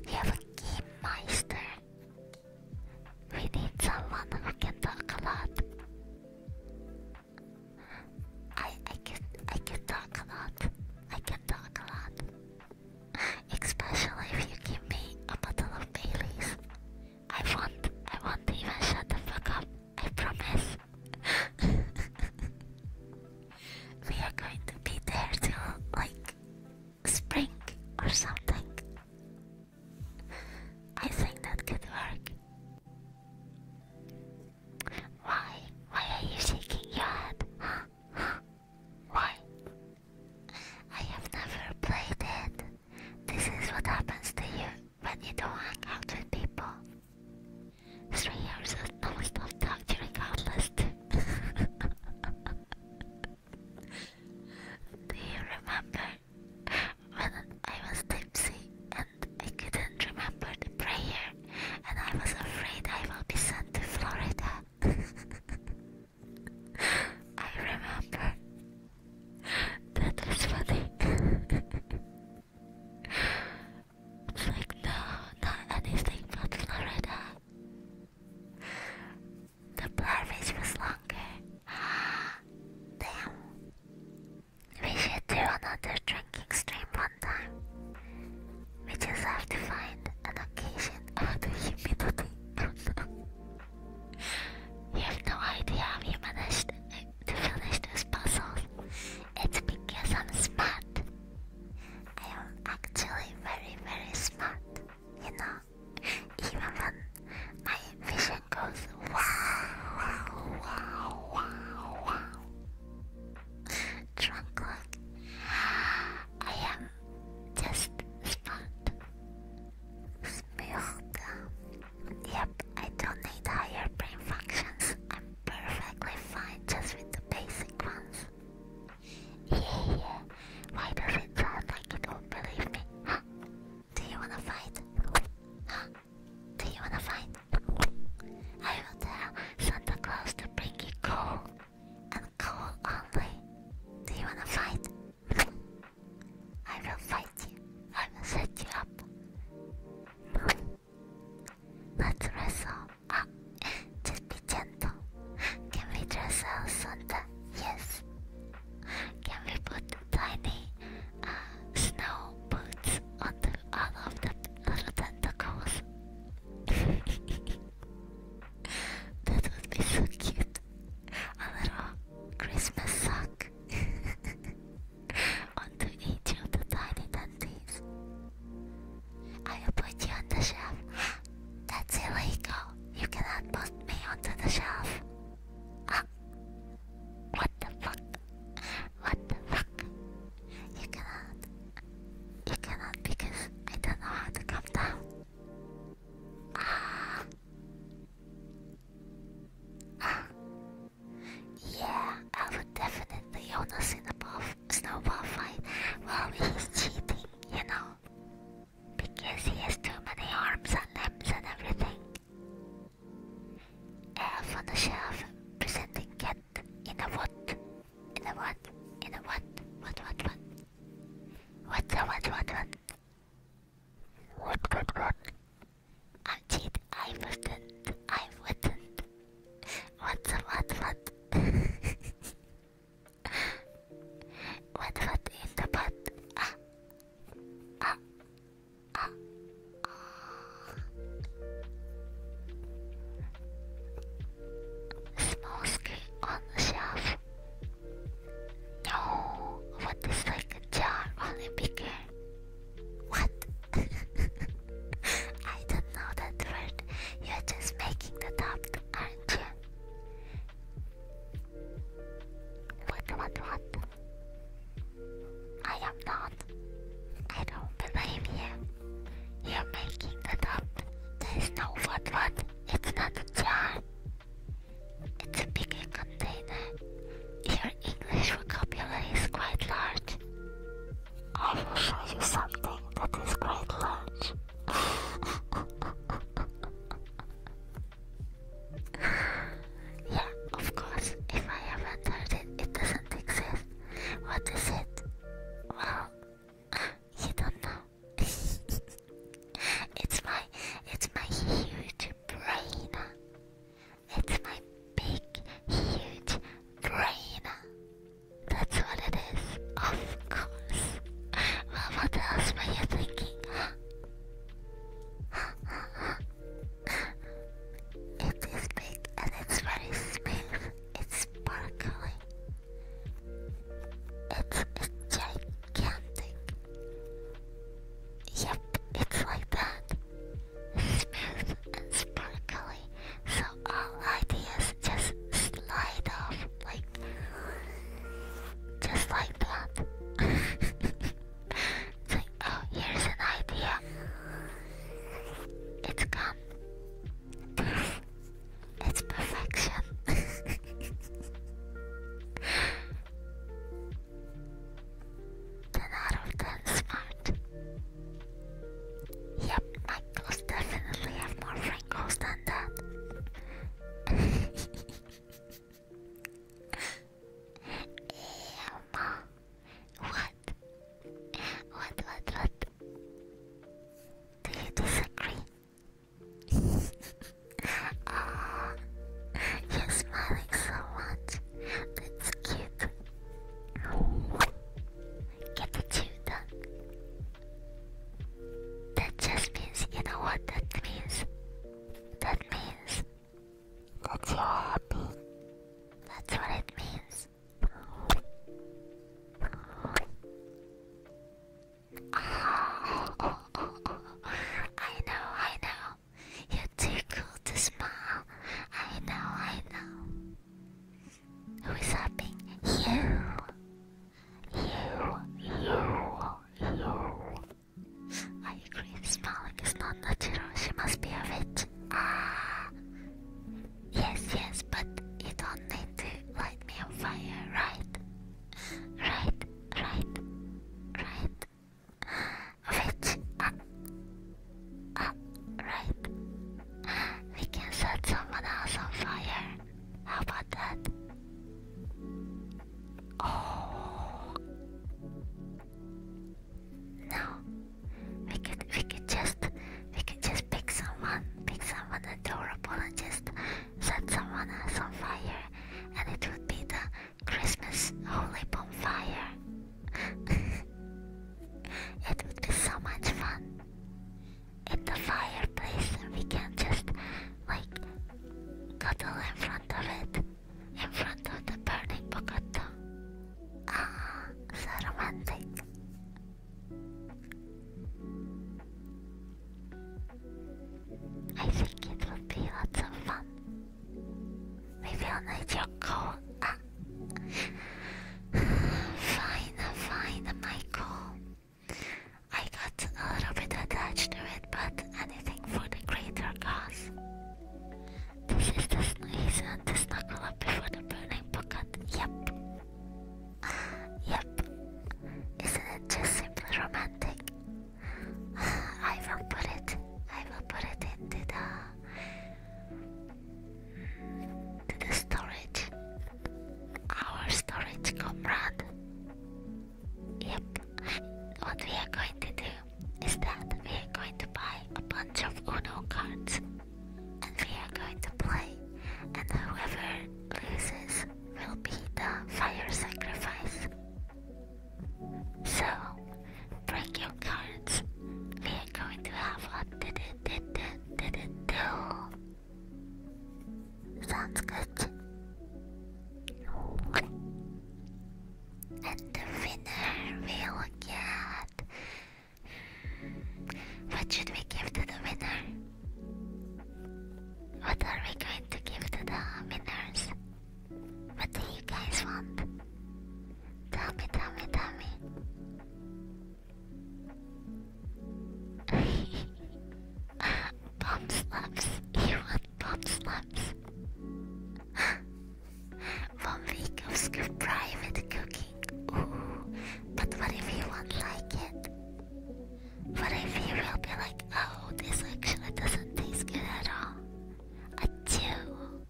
You have a game master. We need someone who can talk a lot. I I can I can talk a lot. I can talk a lot. Especially if you give me a bottle of Baileys. I won't, I will even shut the fuck up. I promise. we are going to be there till like spring or something. I think that could work. Why? Why are you shaking your head? Why? I have never played it. This is what happens to you when you don't hang out with people. Three years of non-stop torturing outlast. Do you remember when I was tipsy and I couldn't remember the prayer? and I was afraid I will be sent to Florida. I remember. That was funny. it's like, no, not anything but Florida. The blurfish was longer. Damn. We should do another drinking stream one time. We just have to find an occasion out of humidity. you have no idea how you managed to finish those puzzles. It's because I'm smart. I am actually very, very smart. You know, even when my vision goes wow, wow, wow, wow, wow not drunk look. I am just smart. Smooth. Yep, I don't need higher brain functions. I'm perfectly fine just with the basic ones. Yeah, Why does it sound like you don't believe me? Huh? Do you wanna fight? Huh? Do you wanna fight? I will tell Santa Claus to bring you coal and coal only. Do you wanna fight? I will fight you. I will set you up. Let's wrestle. Ah, just be gentle. Can we dress El Santa? Yes. Can we put tiny uh, snow boots on all of the little tentacles? that would be so cute. A little Christmas sock onto each of tiny dandies. I'll put you on the shelf. That's illegal. You cannot post me onto the shelf. Ah. What the fuck? What the fuck? You cannot. You cannot because I don't know how to come down. Ah. Ah. Yeah, I would definitely Jonas in a buff, snowball fight while well, he's cheating, you know? Because he has too many arms and limbs and everything. Elf uh, on the shelf, presenting cat in a what? In a what? In a what? What, what, what? What's a what, what, what? What, what, what? I cheat. I wouldn't. I wouldn't. What's a what, what? what, what in the pot? Ah. Ah. Ah. Ah. Small screen on the shelf. No, what is like a jar only bigger? What? I don't know that word. You're just making that up, aren't you? What, what, what? I am not. I don't believe you. You're making it up. There's no what what. It's not a jar. It's a big container. Your English vocabulary is quite large. I will show you something that is quite large. yeah, of course. If I haven't it, it doesn't exist. What is it? Well, you don't know. it's my it's my huge brain. It's my big huge brain. That's what it is. Of course. Well, what else were you thinking? it is big and it's very smooth. It's sparkly. It's, it's gigantic. Yep, it's like that. Smooth and sparkly, so all ideas just slide off like just like that. it's oh, here's an idea. It's gone. It's perfection. ten out smart. Yep, my ghosts definitely have more wrinkles than that. Ew, What? What, what, what? Do ah, you disagree? oh, you're smiling so much. That's cute. Get the chew done. That just means, you know what that means? That means that you're That's what it means. I know, I know. You're too cool to smile. I know, I know. Who is hopping? You! You, you, you. I agree, smiling is not natural. She must be a witch. Ah. Yes, yes, but you don't need to light me on fire, right? Right, right, right. Which, uh, uh, right. We can set someone else on fire. How about that? Oh. No. We could, we could just, we could just pick someone, pick someone adorable and just set someone else on fire and it would be the Christmas holy bonfire. it would be so much fun. In the fireplace and we can just like cuddle in front of it. In front of the burning bocato. Ah, so romantic. I think it will be lots of fun. Maybe I'll need your coat. Ah. fine, fine, Michael. I got a little bit attached to it, but anything for the greater cause. This is the sneeze and the snuggle up before the burning bucket. Yep yep. Isn't it just simply romantic? I will put it. I will put it into the to the storage. Our storage comrade. Yep. What we are going to do is that we are going to buy a bunch of Uno cards and we are going to play, and whoever loses will be the fire sacrifice. So, bring your cards. We are going to have a did Sounds good. And the winner will get what should we give to the winner? What are we going to give to the winners? What do you guys want? Tell me, tell me, tell me. bomb slaps. You want bomb slaps? One week of private cooking. Ooh. But what if you want like it? But I feel will be like, oh, this actually doesn't taste good at all. A two.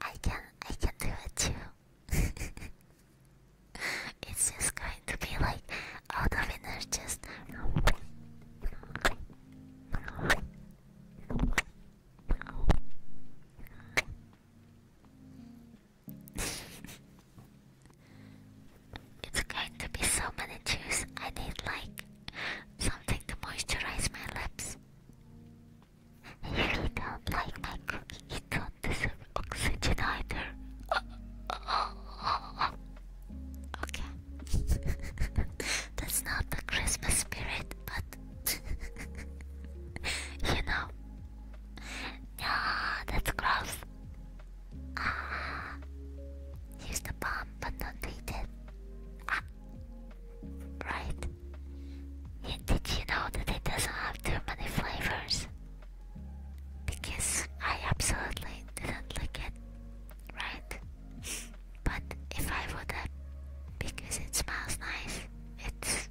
I can I can do it too. it's just going to be like all the winners just it's going to be so many chews. I need like something to moisturize my lips. You don't like my cookie. You don't deserve oxygen either. okay. That's not the Christmas spirit, but you know. Yeah, that's gross. Ah, here's the bomb, but not needed. Ah, right. did you know that it doesn't have too many flavors? Because I absolutely didn't like it, right? but if I would have, because it smells nice, it's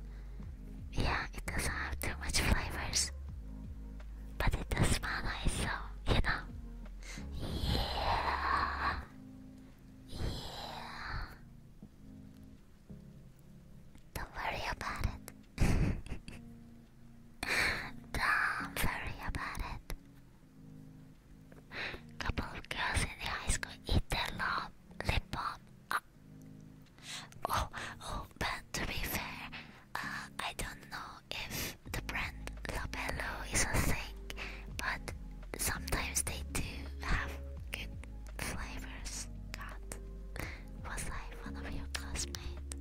yeah, it doesn't have too much flavors. But it does smell nice, so, you know. Yeah. Yeah. Don't worry about it. Don't worry about it. Couple of girls in the high school eat their lip balm. Ah. Oh, oh, but to be fair, uh, I don't know if the brand Labello is a thing, but sometimes they do have good flavors. God, was I one of your classmates?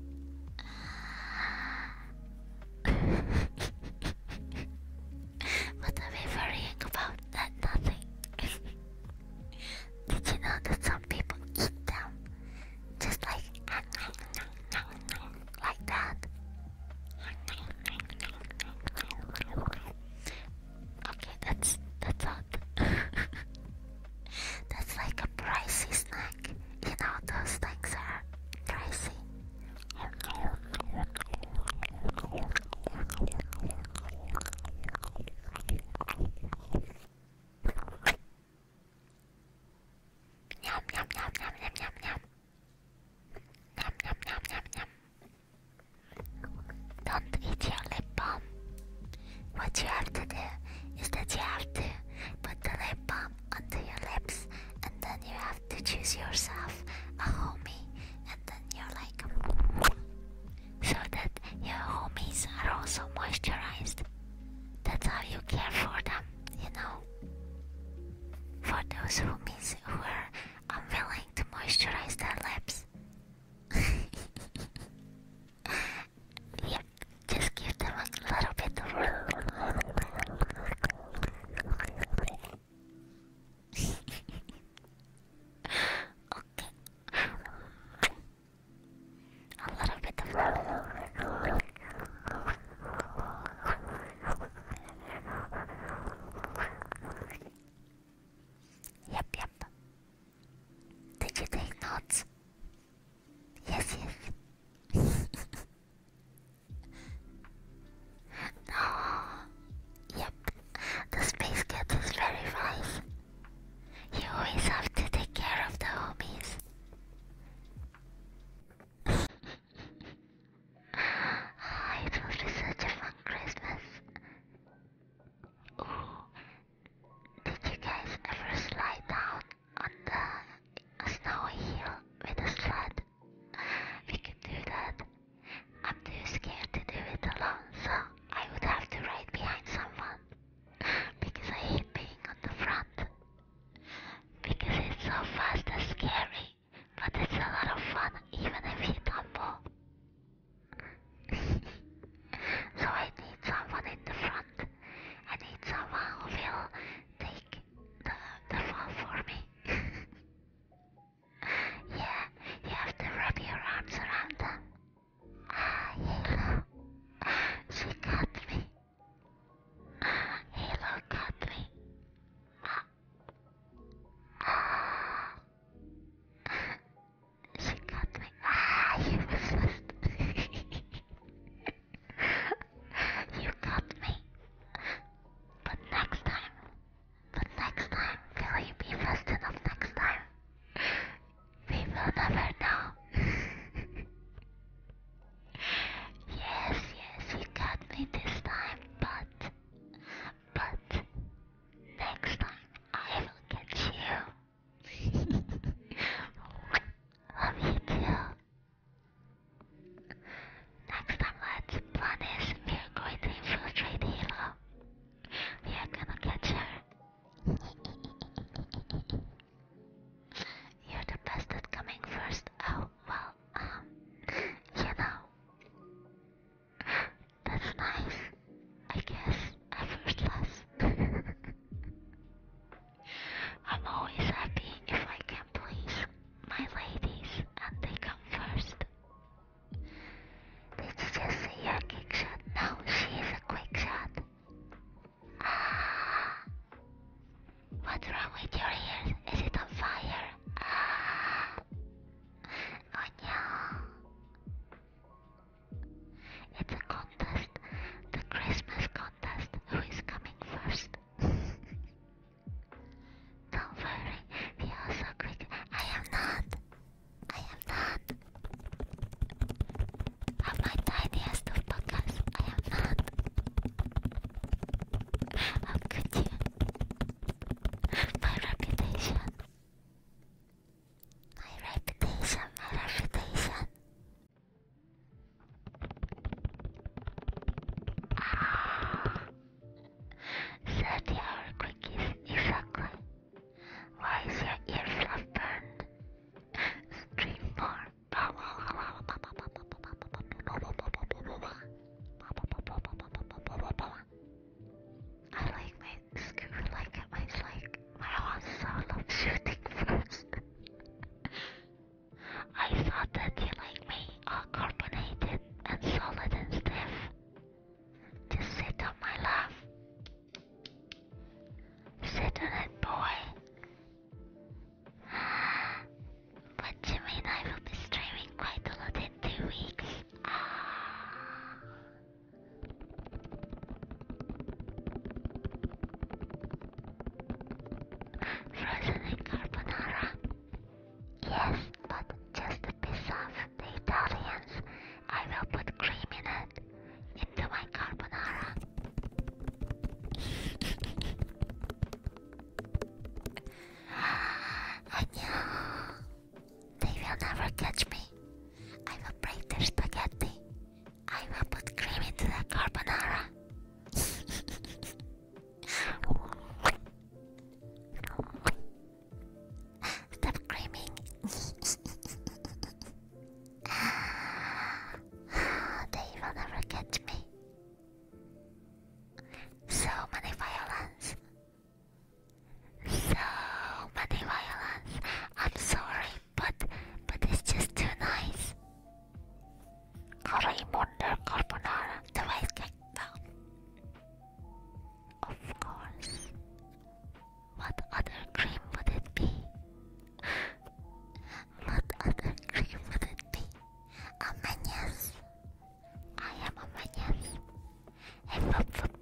what are we worrying about? That nothing. Did you know that some people eat them? Just like like that. Okay, that's that's out. that's like a pricey snack. You know those things are pricey. Don't eat your lip balm. What you have to do is that you have to put the lip balm onto your lips and then you have to choose yourself a homie and then you're like so that your homies are also moisturized that's how you care for them, you know. For those who miss who are unwilling to moisturize their lips. yeah, just give them a little bit okay a little bit of Yep, yep. Did you take notes? Yes, yes. no. Ah, yep, the space cat is very nice. You always have to take care of the homies. it will such a fun Christmas. Did you guys ever slide down on the snowy hill with a sled? We can do that. I'm too scared to do it alone, so I would have to ride behind someone. because I hate being on the front. Because it's so fast and scary, but it's a lot of fun even if you tumble. so I need someone in the front. I need someone who will take the, the fall for me. yeah, you have to wrap your arms around them. Halo. She got me. Halo got me. She got me. Ah, you resist. you got me. But next time, but next time, will you be fast enough next time? We will never know. yes, yes, you got me this time, but. But. Next time, I will get you. Love you too. Next time, let's plan this. We are going to infiltrate Hilo. We are gonna catch her. You're the best at coming first. Oh, well, um, you know. That's nice. I guess effortless. I'm always happy if I can please my ladies and they come first. Did you just a quick shot? No, she is a quick shot. Ah. What's wrong with your ears? Is it on fire? Ah. Oh no. It's a contest. The Christmas contest. Who is coming first? Don't worry, we are so quick. I am not. I am not i Am I tiniest of podcasts? I am not. i could you? My reputation. My reputation, my reputation. Ah, 30 hour quickies, exactly. Why is your ear burned? Stream more. I like my screw like it much like my also love shooting fruits. I thought that you like me all carbonated and solid and stiff. Just sit on my lap. Sit on it, boy. What do you mean I will be streaming quite a lot in two weeks? Frozen and Yes, but just a piece of the Italians. I will put cream in it into my carbonara. I knew they will never catch me. I will break their spaghetti. I will put cream into the carbonara. Stop screaming. they will never catch me. So many violence. So many violence. I'm sorry, but but it's just too nice. Raimondo Carbonara, the white cake down. Of course. What other dream would it be? What other cream would it I am Amanias. Hey, whoop, whoop.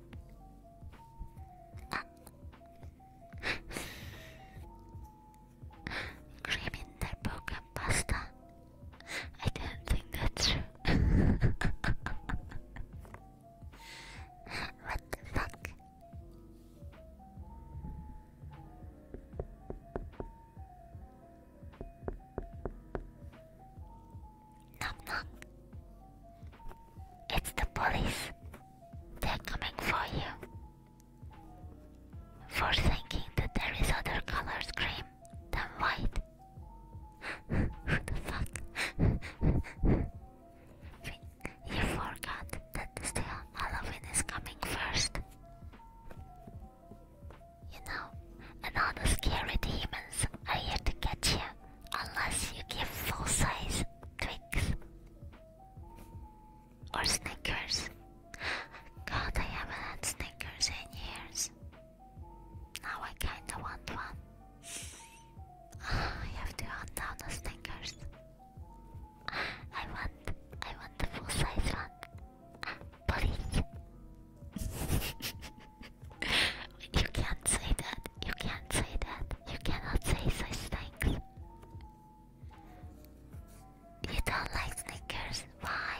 Ah. cream in their pasta. I didn't think that's true. what the fuck? Knock knock. It's the police. They're coming for you. For thinking that there is other colors cream than white. Who the fuck? You forgot that still Halloween is coming first. You know, and all the scary demons are here to catch you unless you give full size Twix or sneakers. God, I haven't had Snickers in years. Now I kinda want one. I have to hunt down the sneakers. I want, I want the full size one. Please. you can't say that. You can't say that. You cannot say such things. You don't like sneakers. Why?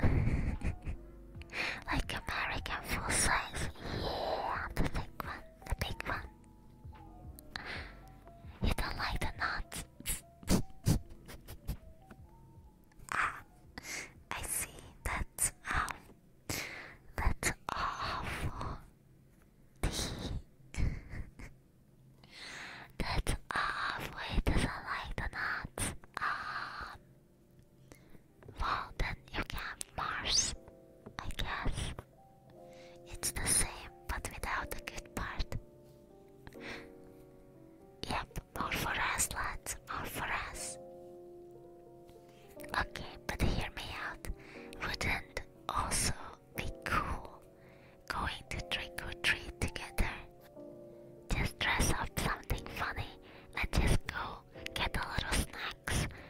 like American full size. Yeah, the big one. The big one. You don't like the nuts. Ah, I see. That's um, that's awful. that's awful. He doesn't like the nuts. Um, well, then you can Mars, I guess. It's the same, but without the good part. Yep, more for us, lads, more for us. Okay, but hear me out. Wouldn't also be cool going to trick or treat together? Just dress up something funny and just go get a little snacks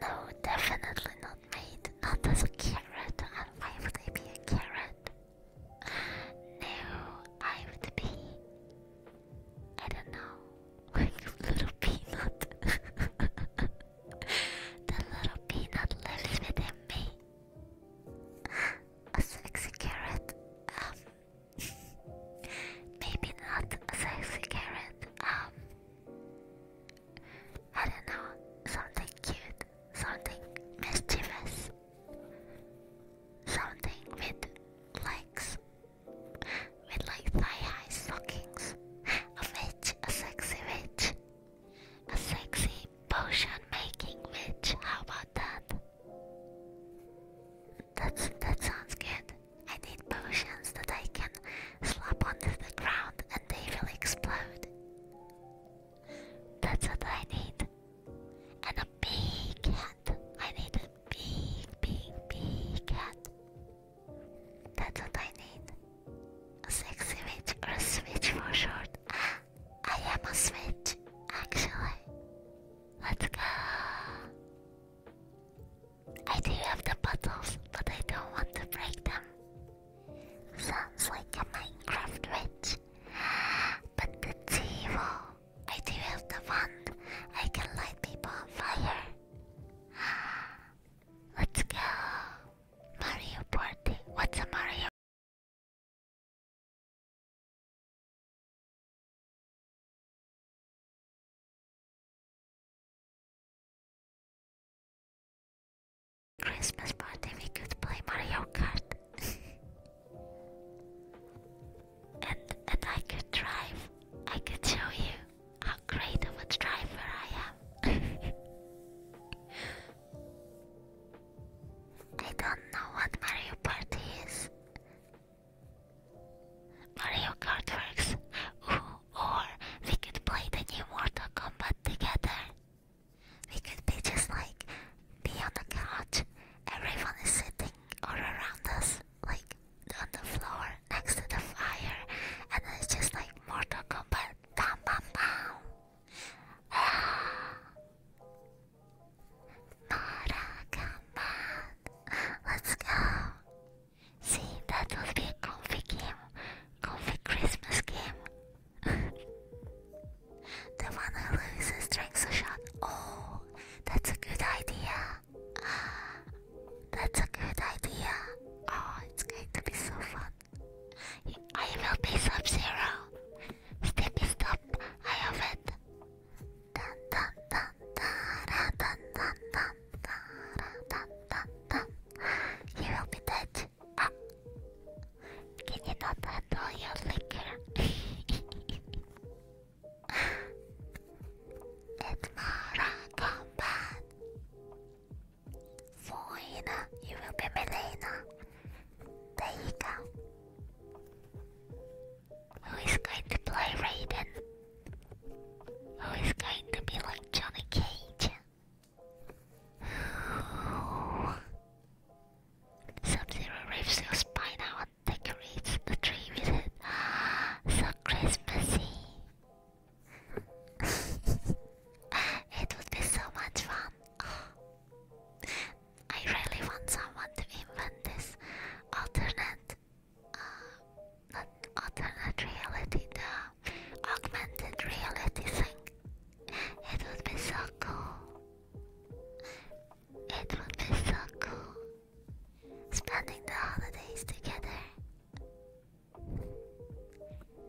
No, definitely not me. Not as a carrot. And Why would I be a carrot? No, I would be. I don't know. Like a little peanut. the little peanut lives within me. A sexy carrot. Um, Maybe not a sexy carrot, um I don't know, something cute, something mischievous, something with legs, with like thigh-high stockings, a witch, a sexy witch, a sexy potion making witch, how about that? That's that sounds good. I need potions that I can slap onto the ground and they will explode. That's what I need. And a big cat. I need a big, big, big cat. That's what I need. A sexy witch or a switch for short. I am a switch, actually. Let's go. I do have the bottles, but I don't want to break them. Sounds like a Minecraft witch. But the evil. I do have the wand. I can light people on fire. Let's go. Mario Party. What's a Mario Christmas party we could play Mario Kart. and and I could drive. I could show you how great of a driver I am. I don't know what Mario Party is. Mario Kart Works, or we could play the new Mortal Kombat together. We could be just like be on the couch. Everyone is sitting all around us, like on the floor next to the fire, and it's just like Mortal Kombat. Bam, bam, bam. Ah. Let's go. See, that will be a comfy game. Comfy Christmas game. the one who loses drinks a shot. Oh, that's a good idea. That's a good idea. Oh, it's going to be so fun. I will be sub zero. Steppy stop, I have it. Ah. You will be dead. Can you not handle your liquor? it's Mara Combat. Foina, you will be Melena. There you go. Who is going to play Raiden? Who is going to be like Johnny Cage? Sub-Zero rips your spine out and decorates the tree with it. so Christmassy. it would be so much fun. I really want someone to invent this alternate, uh, not alternate reality, the augmented reality thing. It would be so cool. It would be so cool. Spending the holidays together.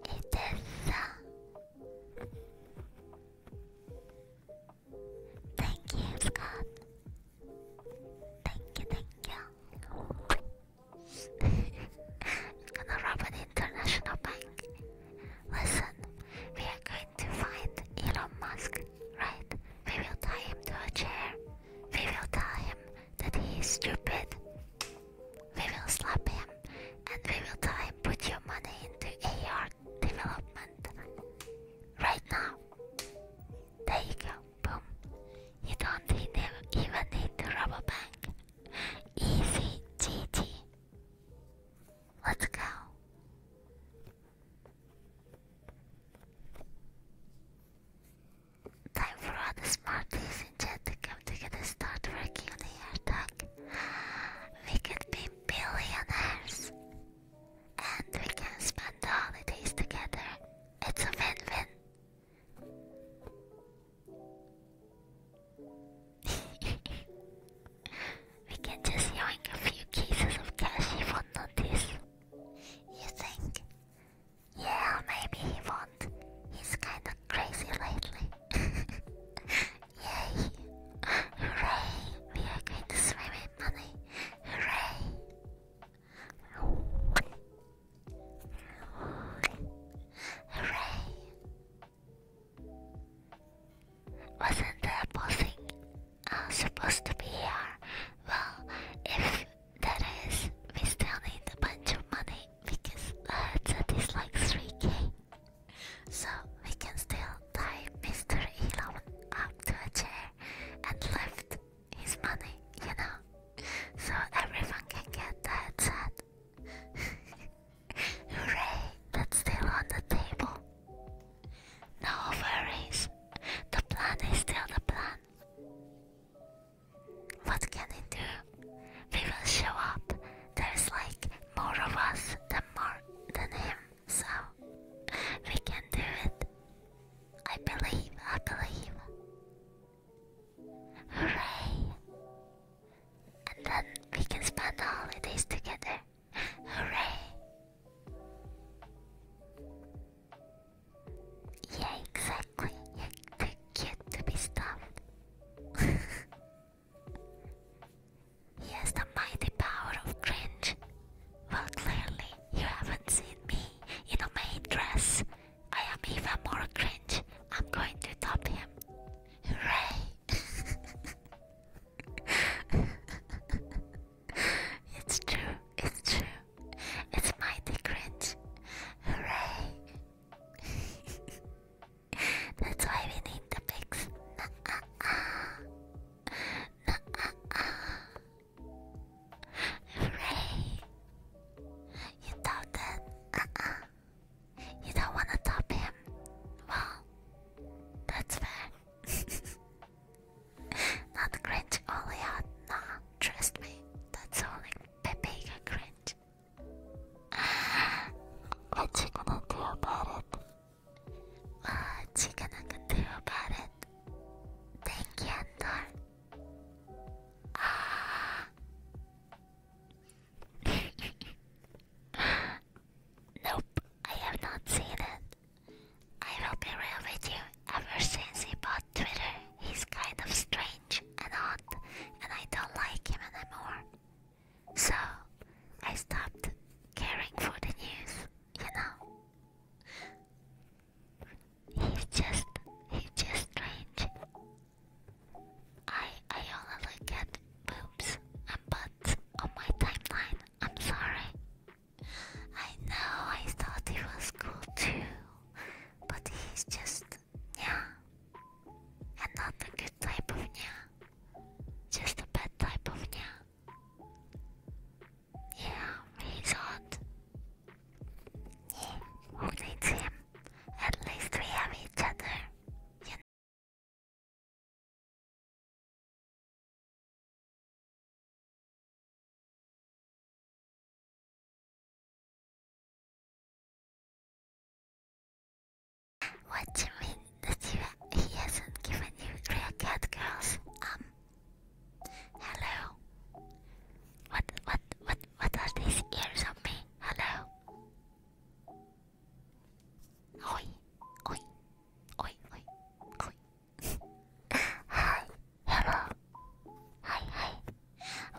It is. Uh, Thank you, Scott. Thank you, thank you. I'm gonna rob an international bank. Listen, we are going to find Elon Musk, right? We will tie him to a chair. We will tell him that he is stupid. We will slap him and we will tell him put your money into AR development. Right now. There you go. Boom. You don't even need the rubber band. Easy GG. Let's go. Time for all the smarties in chat to come together start working on the hashtag. We could be billionaires and we can spend the holidays together. It's a win win. we can just yoink a few cases of cash he won't this. You think? Yeah, maybe he won't. He's kinda crazy lately. Yay! Hooray! We are going to swim in money. Hooray! Hooray! Wasn't the bossing I'm uh, supposed to be here? Well, if that is, we still need a bunch of money because uh, it's at least like 3k. So we can still tied Mr. Elon up to a chair and left his money, you know, so everyone can get that set. Hooray, that's still on the table. No worries, the plan is still the plan. What can it do? We will show up. There's like more of us than more than him so we can do it. I believe, I believe. Hooray! And then we can spend the holidays together. Hooray! Yeah, exactly. You're too cute to be stuffed. he has the mighty power of cringe. Well, clearly, you haven't seen me in a maid dress. I am even more cringe. I'm going to top him. Hooray! it's true, it's true. It's my cringe. Hooray! That's why we need the pigs. Nuh -uh -uh. Nuh -uh Ray, you thought that? Uh-uh. You don't want to top him? Well, that's fair. Not cringe only Nah, trust me. That's only Pepe can cringe. what you going about it? what you gonna do about it? Thank you, nope, I have not seen it. I will be real with you. Ever since he bought Twitter, he's kind of strange and odd, and I don't like him anymore. So, I stopped caring for the news you know. He's just he's just strange. I I only get at boobs and butts on my timeline. I'm sorry. I know I thought he was cool too, but he's just yeah, and not a good type of yeah, just a bad type of yeah. Yeah, he's hot. Yeah, who needs him? At least we have each other. You What do you mean that he hasn't given you real cat girls? Um, Hello. What what what what are these ears on me? Hello. Oi, oi, oi, oi, oi. hi, hello. hi.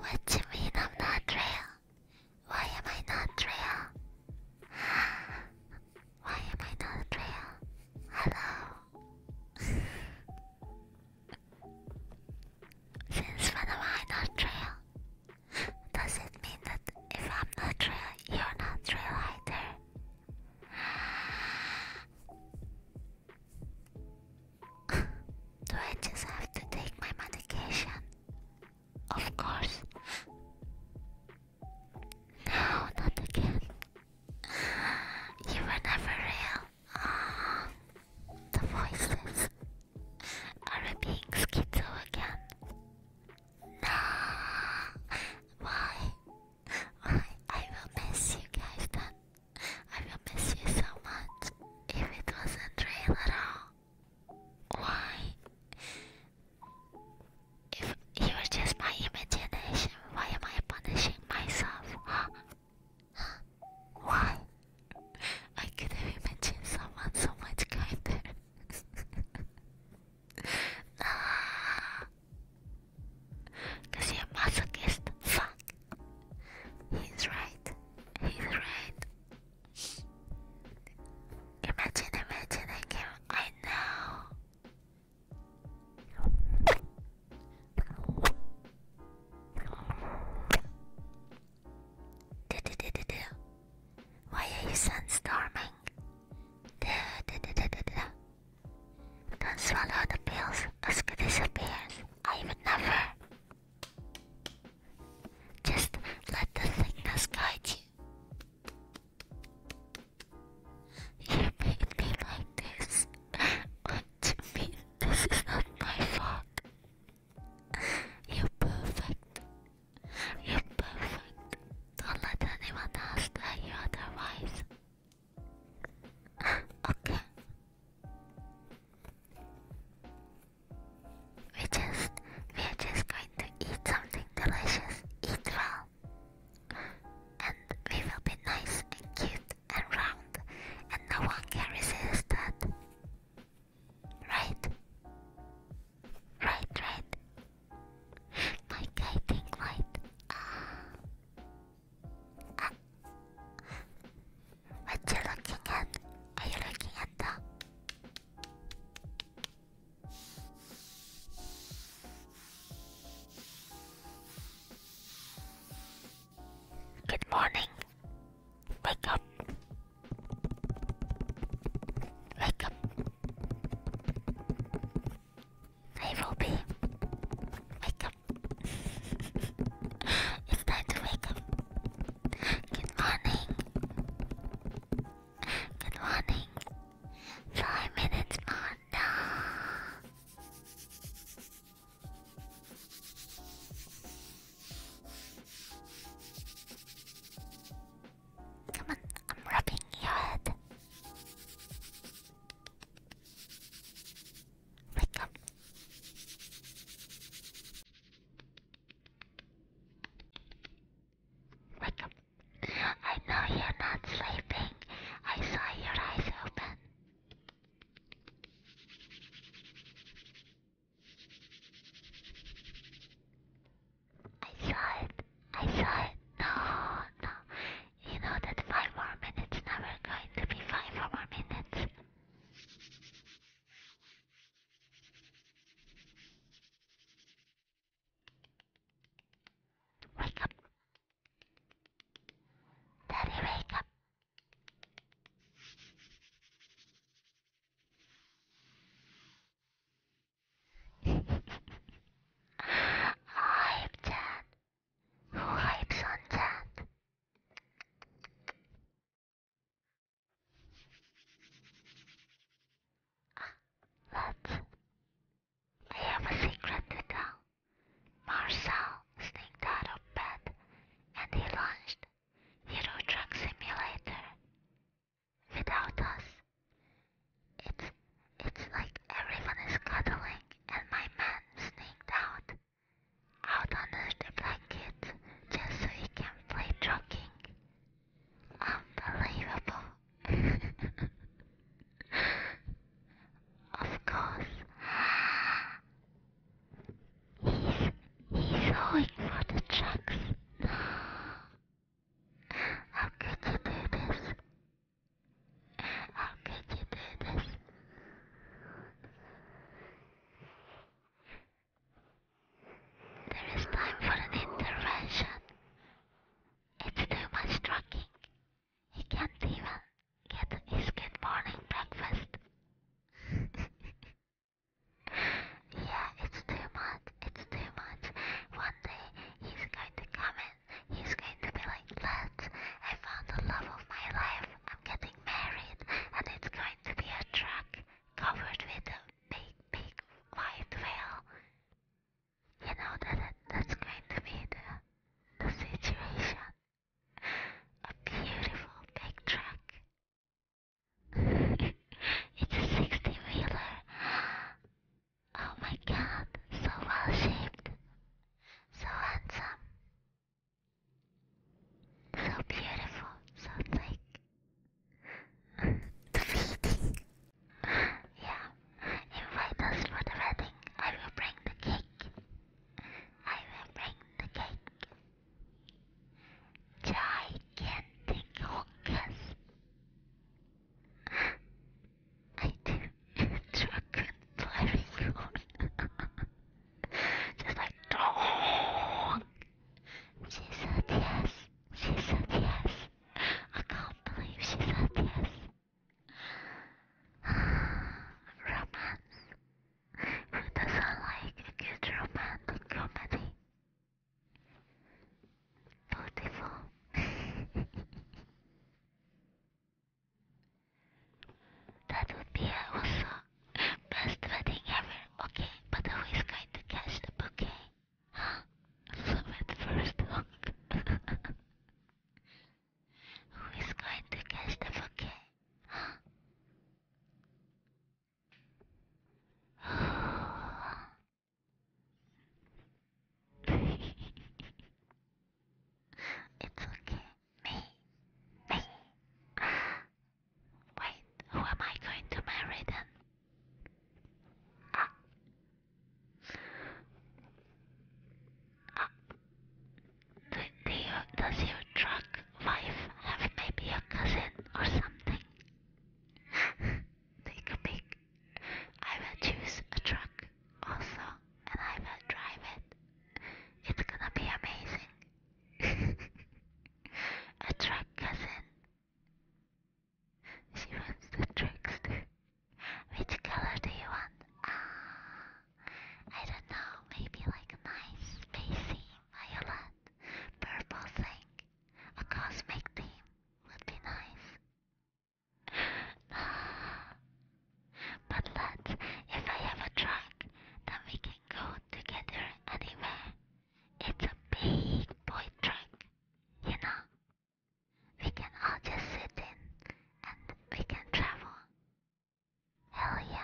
What do you mean I'm not real? Why am I not real? Why am I not real? Hello. Since when am I not real? Does it mean that if I'm not real, you're not real either? Do I just have to take my medication? Of course. No, not again. You were never real. Ah, the voices are being schizo again? No. Why? I will miss you guys then. I will miss you so much if it wasn't real at all. Why? If you were just my imagination. Why am I punishing myself? Why? I could have imagined someone so much kinder. nah. Cause you're masochist. Fuck. He's right. He's right. Imagine imagining him. I know. Why are you sunstorming? Don't swallow the pills, Oscar disappears. I would never. Just let the thickness guide you. You made me like this. What do you This is not my fault. You're perfect. You're perfect. Don't let anyone else tell you otherwise. okay. We just, we are just going to eat something delicious. Eat well. And we will be nice and cute and round, and no one can resist that. Right? Right, right. My guiding light. Uh, uh. What you looking at? Are you looking at the? Good morning. Wake up. Wake up. Hey, Ruby. Wake up. it's time to wake up. Good morning. Good morning. Five minutes more. Come on, I'm rubbing your head. Wake up. Wake up. I know you're not sleeping. I saw your eyes open. I saw it. I saw it. No, no. You know that five more minutes never going to be five more minutes. Wake up. Daddy, wake up. Hype Dad. Who hypes on Dad? what? Ah, I have a secret to tell. Marcel sneaked out of bed and he launched Hero Truck Simulator. Without us, it's, it's like everyone is cuddling and my man sneaked out, out under the blankets just so he can play trucking. Unbelievable. of course. He's, he's going for the trucks. How could you do this? How could you do this? There is time for an intervention. It's too much trucking. He can't even get his good morning breakfast. yeah, it's too much. It's too much. One day he's going to come in. He's going to be like, lads, I found the love of my life. I'm getting married, and it's going to be a truck covered with a big, big white veil. You know that that's going to be the the situation a beautiful big truck. it's a 60 wheeler. Oh my god, so well shaped, so handsome, so beautiful, so thick. the feeding. yeah, invite us for the wedding. I will bring the cake. I will bring the cake. Gigantic honkers. I do dragon flying Just like She said yes. She said yes. I can't believe she said yes romance. Who doesn't like a good romantic comedy? Beautiful. that would be also best wedding ever. Okay, but who is going to catch the bouquet? Huh? Fluid first one. Who is going to catch the bouquet? it's okay. Me. Me. Wait, who am I going to marry then? Ah. Uh, do you, does your drug wife have maybe a cousin or something? Take a pick. I will choose a truck also, and I will drive it. It's gonna be amazing. a truck cousin. She wants the trickster. Which color do you want? Ah, I don't know. Maybe like a nice spacey violet, purple thing, a cosmic theme would be nice. but let's, if I have a truck, then we can go together anywhere. It's a big boy truck, you know. We can all just sit in and we can travel. Hell yeah.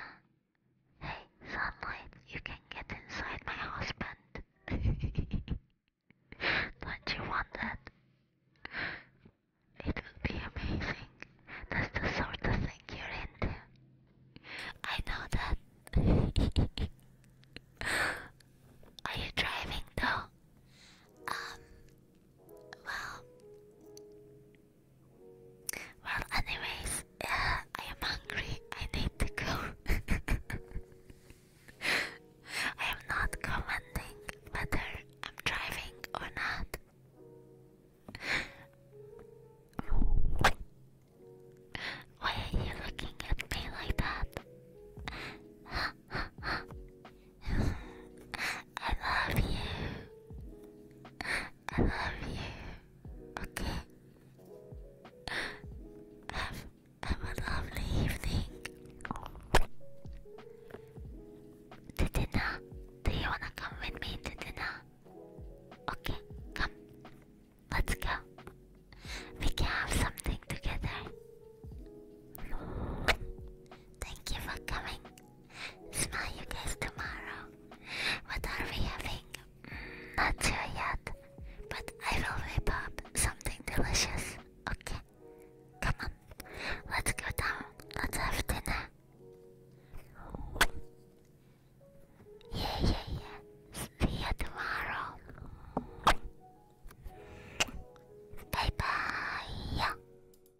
Hey, sunlight, you can get inside my husband. Don't you want that? It would be amazing. That's the sort of thing you're into. I know that. Are you driving though? Um, well, well, anyways, uh, I am hungry. I need to go. I am not commenting whether I'm driving or not. Why are you looking at me like that? I love you. I love you. Okay. Have, have a lovely evening. To dinner. Do you wanna come with me to dinner? Okay, come. Let's go. We can have something together. Thank you for coming. Smile, you guys, tomorrow. What are we having? Mm, not sure yet, but I will whip up something delicious. Okay, come on, let's go down. Let's have dinner. Yeah, yeah, yeah. See you tomorrow. Bye bye.